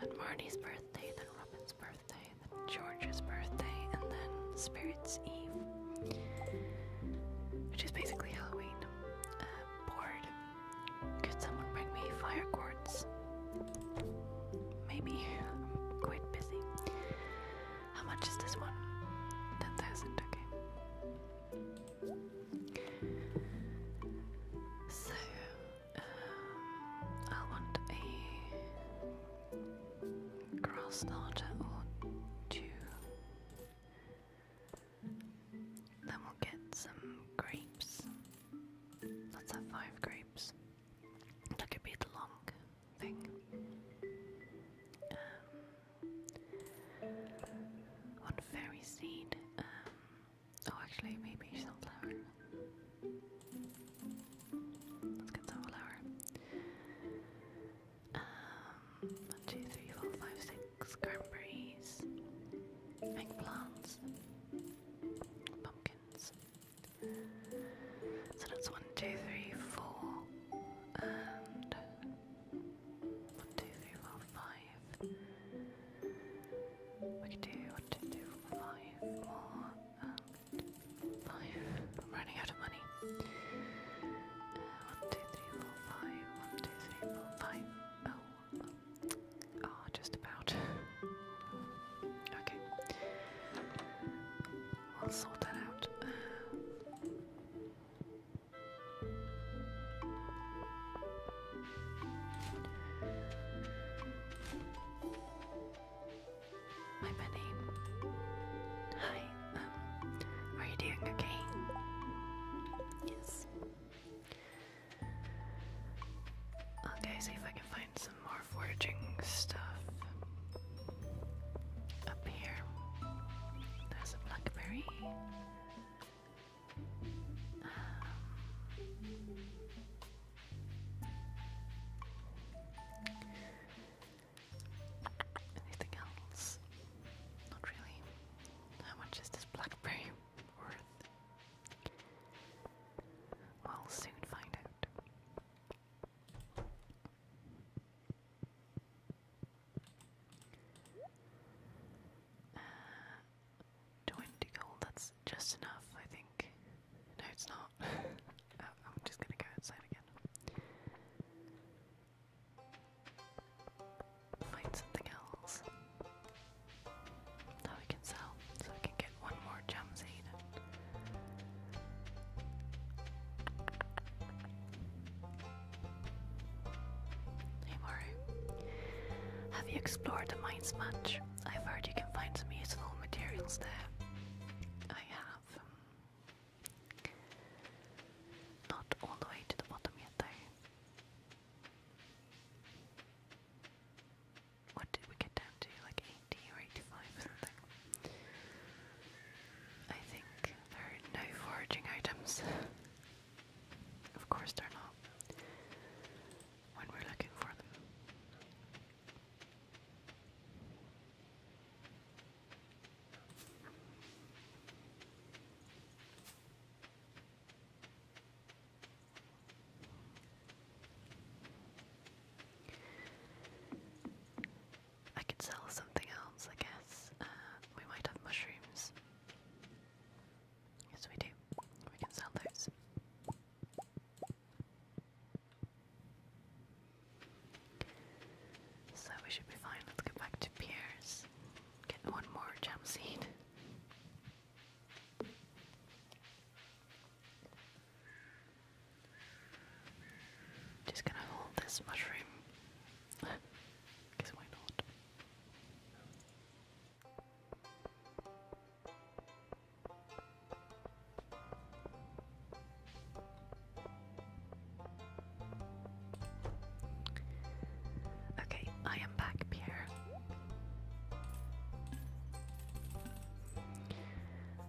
then Marnie's birthday, then Robin's birthday, then George's birthday, and then Spirit's Eve, which is basically Halloween. Uh, bored could someone bring me fire quartz? Maybe. I'm quite busy. How much is this one? 10,000, okay. So, uh, I want a grass starter or two. Then we'll get some grapes. Let's have five grapes. That could be long thing. Um, one fairy seed. Um, oh, actually, maybe sunflower. Let's get sunflower. Um, one, two, three, four, five, six oaks, cranberries, eggplants, pumpkins. So that's one, two, three, four, and one, two, three, four, five. We could do one, two, three, four, five i I'm running out of money. Uh, one, two, three, four, five. One, two, three, four, five. Oh, Oh, just about. <laughs> okay. I'll sort that out. My many. Hi. Um, are you doing okay? Yes. Okay, see if I can find some more foraging stuff. Up here, there's a blackberry. Um, anything else? Not really. How much is this blackberry? worth? We'll soon find out. Uh, 20 gold, that's just enough, I think. No, it's not. <laughs> Uh, I'm just gonna go outside again. Find something else. Now we can sell, so we can get one more gem Hey Maru, have you explored the mines much? I've heard you can find some useful materials there. I have. Not all the way to the bottom yet, though what did we get down to? Like 80 or 85 or something. I think there are no foraging items. of course, they're not. When we're looking for them. I can sell something else, I guess. Uh, we might have mushrooms. Yes, we do. We can sell those. So we should be fine. Let's go back to Pierre's. Get one more jam seed. Just gonna hold this mushroom. Guess why not? Okay, I am back, Pierre.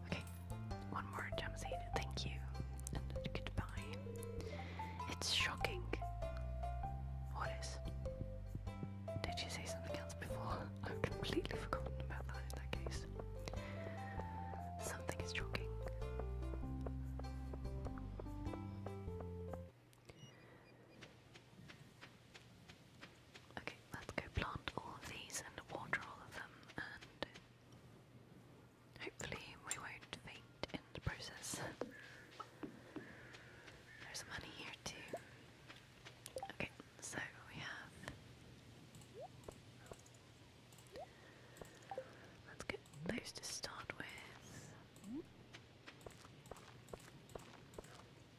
Okay, one more gem seed. Thank you. And goodbye. It's shocking. What is? Did you say something else before? <laughs> I've completely forgotten about that in that case. Something is shocking. Okay, let's go plant all of these and water all of them, and hopefully we won't faint in the process. There's money here too. Okay, so we have. Let's get those to start with.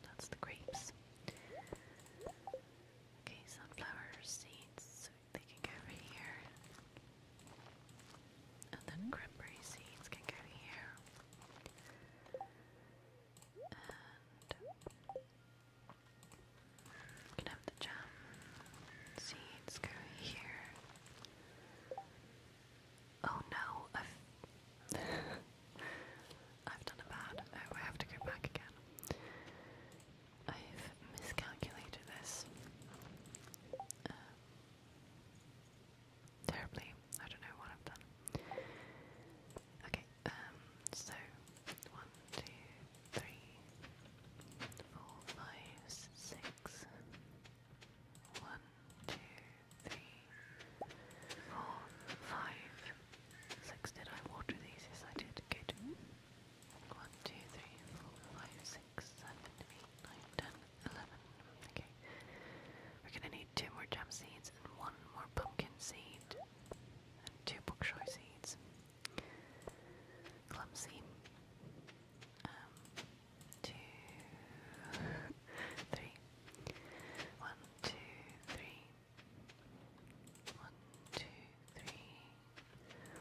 That's the grapes. Okay, sunflower seeds, so they can go over here. And then cranberry seeds can go here. can have the jam seeds go here. Oh no, <laughs> I've done a bad. I have to go back again. I've miscalculated this. Uh, terribly. I don't know what I've done. Okay, um, so one, two, three, four, five, six, one, two, three, four, five, six. Did I water these? Yes, I did. Good. One, two, three, four, five, six, seven, eight, nine, ten, eleven. Okay. We're gonna need two more jump seeds and one more pumpkin seed and two bookshore seeds. Clumsy. Um, two, two, three.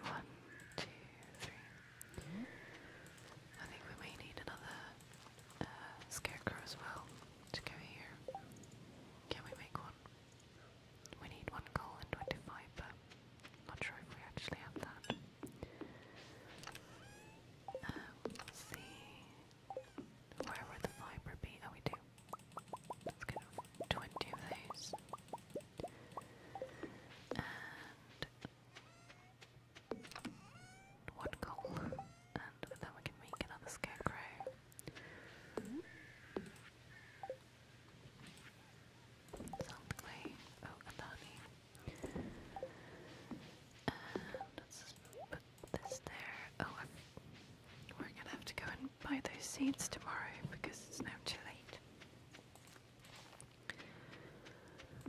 I think we may need another uh, scarecrow as well to go here. Can we make one? We need one coal and 25, but not sure if we actually have that. Um, see. Where would the fiber be? Oh, we do. Let's get 20 of these. And one coal. And then we can make another scarecrow. Something like, oh, this there. Oh, we're gonna have to go and buy those seeds tomorrow because it's now too late.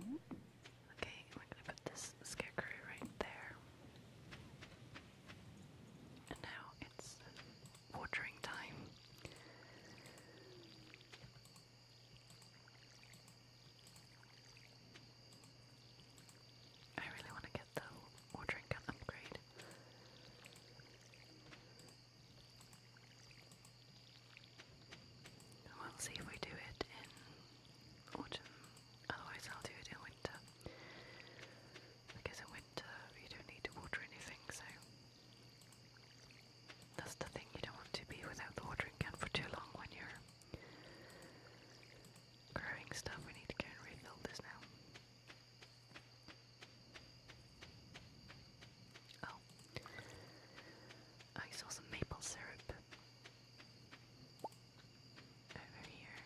Okay, we're gonna put this scarecrow right there. And now it's watering time. I really want to trinket though, or upgrade. We'll see if we do it in autumn, otherwise I'll do it in winter. Because in winter you don't need to water anything, so that's the thing, you don't want to be without the watering can for too long when you're growing stuff. We need to go and refill this now. Oh, I saw some maple syrup over here.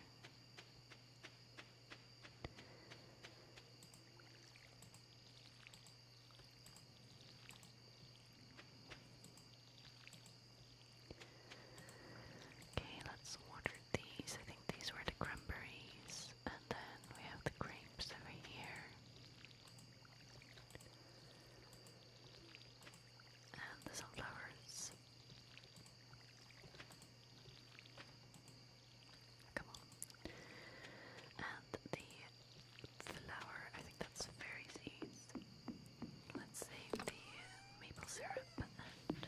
Okay, let's water these. I think these were the cranberries. And then we have the grapes over here. And the sunflowers. Come on. And the flower, I think that's fairy seeds. Let's save the maple syrup and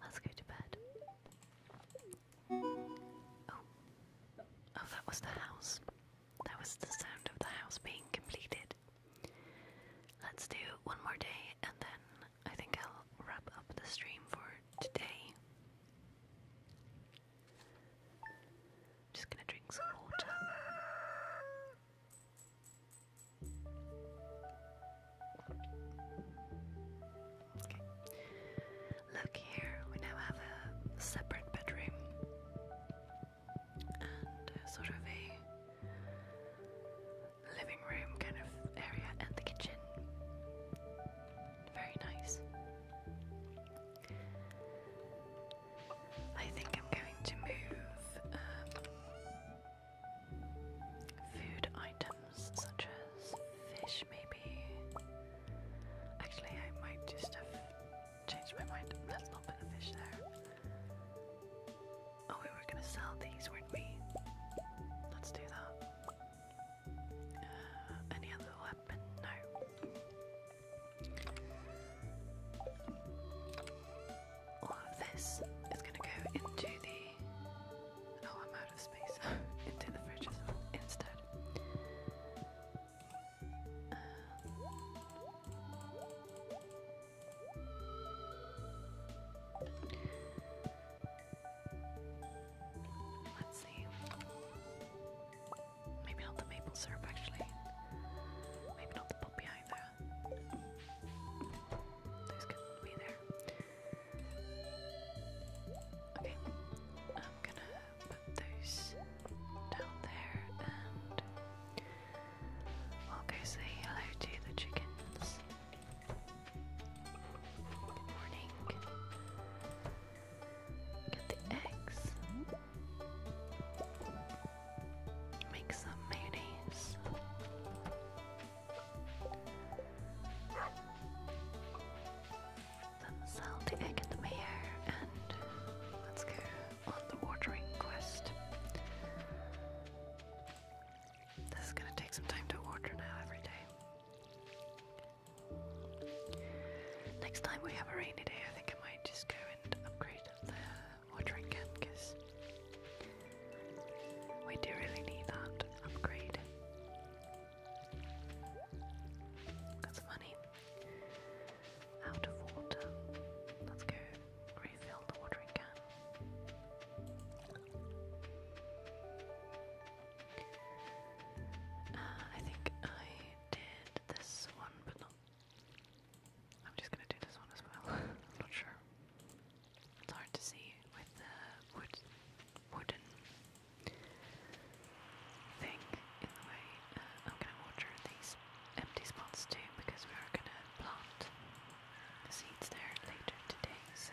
Let's go to bed. Oh. Oh, that was the house. That was the sound of the house being completed. Let's do one more day and then I think I'll wrap up the stream for today. Just gonna drink some water. Look here, we now have a separate bedroom and a sort of a living room kind of area and the kitchen. Very nice. I think I'm going to move um, food items such as fish, maybe. Actually, I might just have changed my mind. Let's not put the fish there. Oh, we were going to sell these, weren't we? Let's do that. Uh, any other weapon? No this is going to go into the. Oh, I'm out of space. <laughs> into the fridge instead. Um, let's see. Maybe not the maple syrup, actually. Maybe not the poppy either. Those can be there. Okay, I'm gonna put those down there and we'll go say hello to the chickens. Good morning. Get the eggs. Make some mayonnaise. Then sell the egg at the mayor and let's go on the ordering quest. This is gonna take some time to order now every day. Next time we have a rainy day, I think I might just go and upgrade the watering can because we do really need that upgrade. Got some money. Out of water. Let's go refill the watering can. Uh, I think I did this one, but I'm just gonna do this one as well. <laughs> not sure. It's hard to see with the wood wooden thing in the way. Uh, I'm gonna water these empty spots too because we are gonna plant seeds there later today, so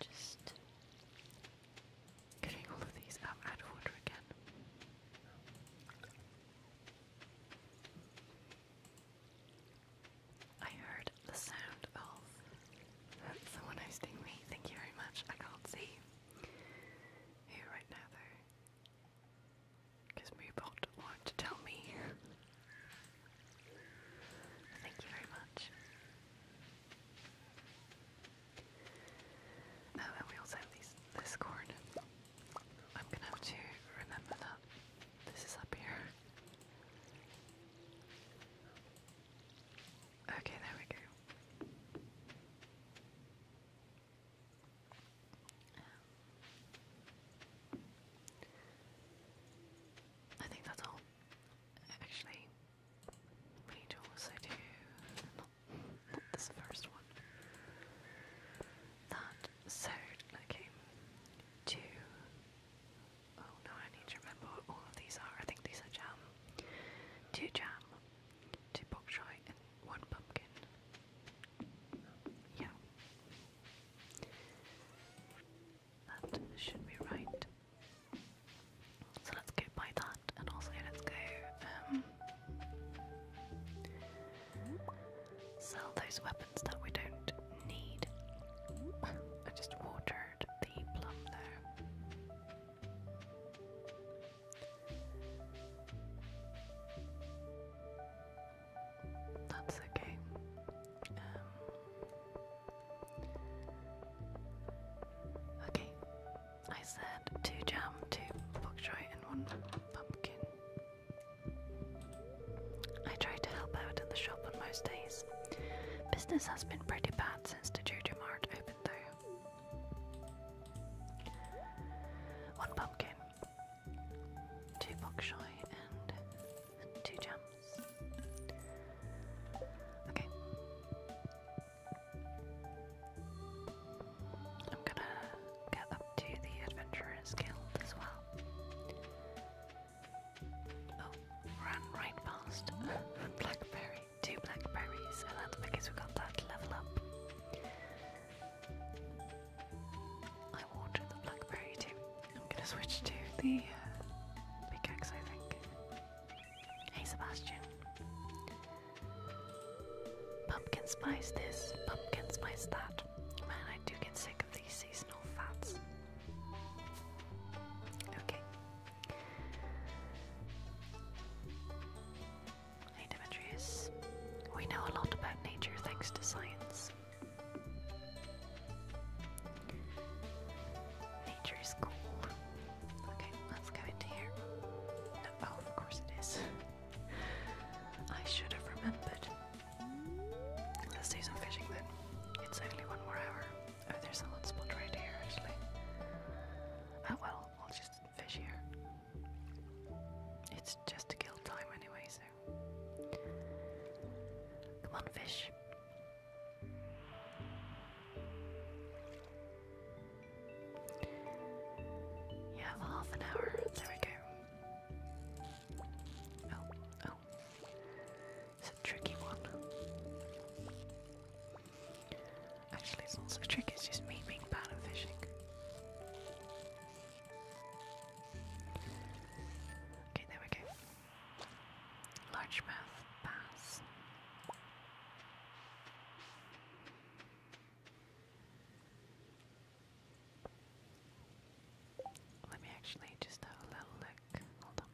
Just getting all of these out, of order again. I heard the sound of someone hosting me. Thank you very much. I can't see who right now because Moobot wanted to tell me. Thank you very much. Oh, and we also have these, this cord. I'm gonna have to remember that this is up here. Okay, there we go. Um, I think that's all. Actually, we need also do not, not this first one. That so okay. Two. Oh no, I need to remember what all of these are. I think these are jam. Two jam, two bok choy, one pumpkin. Yeah. That should be right. So let's go buy that, and also let's go um, sell those weapons that we don't need. I just watered the plum there. That's okay. Um, okay, I said two jam, two bok choy, and one pumpkin. I try to help out in the shop on most days. Business has been pretty bad since the Jojo Mart opened, though. One pumpkin two block shy and, two jumps. Okay. I'm gonna get up to the Adventurer's Guild as well. Oh, ran right past <laughs> Blackberry. Two blackberries, and that's because we got that level up. I watered the blackberry too. I'm gonna switch to the uh, pickaxe, I think. Hey Sebastian. Pumpkin spice this, pumpkin spice that. Man, I do get sick of these seasonal fats. Okay. Hey Demetrius. We know a lot about nature thanks to science. Nature is cool. Okay, let's go into here. Oh, of course it is. <laughs> I should have remembered. Let's do some fishing then. It's only one more hour. Oh, there's a hot spot right here actually. Oh well, I'll just fish here. It's just to kill time anyway, so Come on, fish. You have half an hour. There we go. Oh, oh. It's a tricky one. Actually, it's not tricky, it's just me being bad at fishing. Okay, there we go. Largemouth bass. Let me actually just have a little look. Hold on.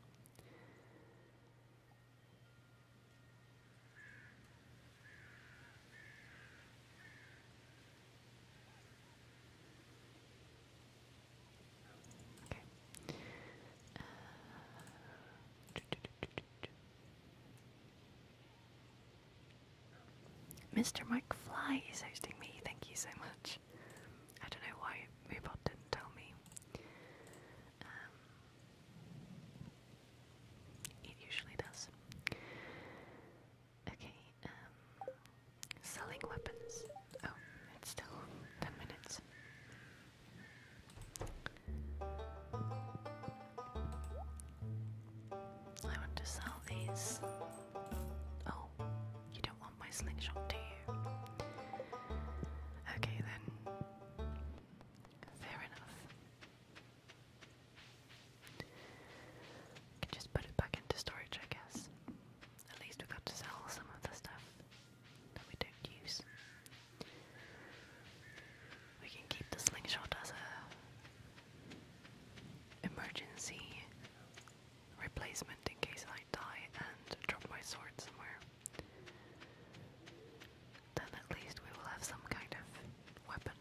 Mr. Mike Fly is hosting me. Thank you so much. I don't know why Moobot didn't tell me. Um, it usually does. Okay, um, selling weapons. Oh, it's still 10 minutes. I want to sell these. Oh, you don't want my slingshot, do you? Okay then. Fair enough. I can just put it back into storage, I guess. At least we got to sell some of the stuff that we don't use. We can keep the slingshot as a emergency replacement in case I die and drop my sword somewhere. Then at least we will have some kind of weapon.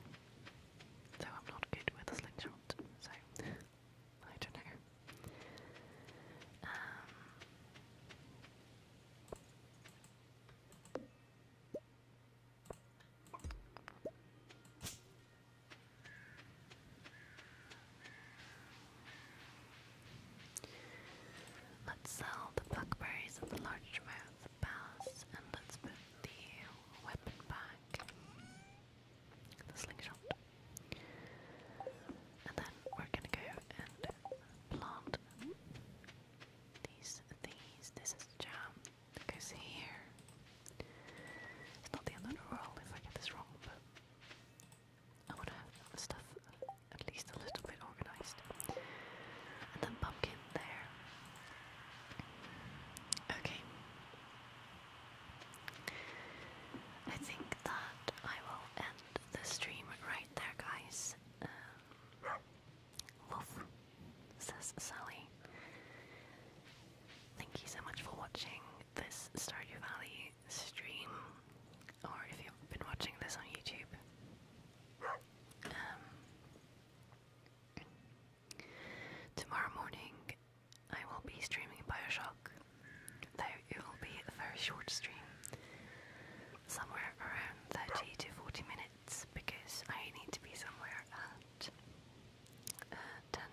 So I'm not good with a slingshot, so I don't know. Um, let's sell the buckberries and the largemouth bass, and let's put the weapon back the slingshot. And then we're gonna go and plant these these. This is jam that here. It's not the end of the world if I get this wrong, but I wanna stuff at least a little bit organized. And then pumpkin there. Okay. I think that I will end the stream right there, guys. Um, Wolf, says Sally. Thank you so much for watching this Stardew Valley stream, or if you've been watching this on YouTube. Um, tomorrow morning I will be streaming Bioshock, though it will be a very short stream, somewhere around 30 to 40 minutes, because I need to be somewhere at uh, 10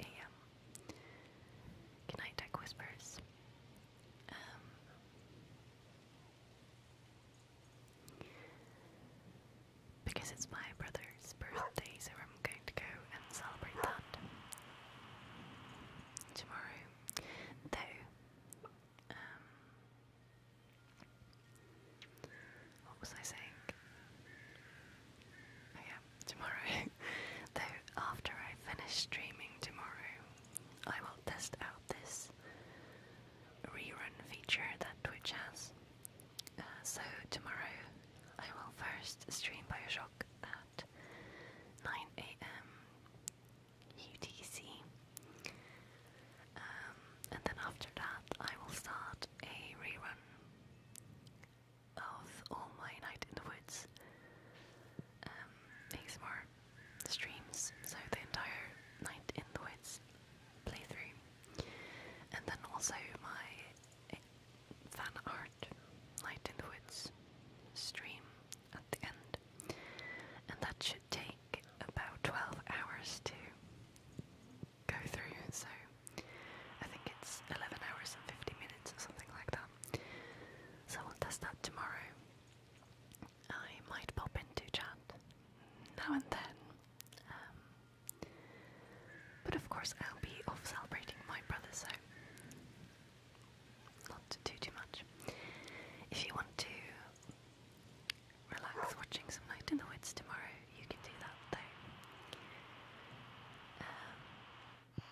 a.m. Good night, Tech Whispers. Um, because it's my brother's birthday, so I'm going to go and celebrate that tomorrow. Though, um, what was I saying? Oh, yeah, tomorrow. <laughs> Though after I finish streaming tomorrow, I will test out this rerun feature that Twitch has so tomorrow I will first stream Bioshock at 9 a.m. UTC, um, and then after that I will start a rerun of All My Night in the Woods. Um, more streams, so the entire Night in the Woods playthrough, and then also my fan art, Night Woods stream at the end. And that should take about 12 hours to go through, so I think it's 11 hours and 50 minutes or something like that. So we'll test that tomorrow. I might pop into chat now and then um, but of course, I'll be off celebrating my brother, so not to do too much. If you want to relax watching some Night in the Woods tomorrow, you can do that though. Um,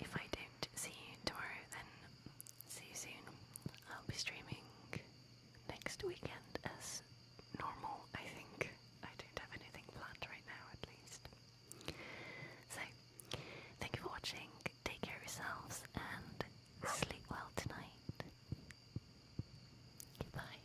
if I don't see you tomorrow, then see you soon. I'll be streaming next weekend normal, I think. I don't have anything planned right now, at least. So, thank you for watching. Take care yourselves and sleep well tonight. Goodbye.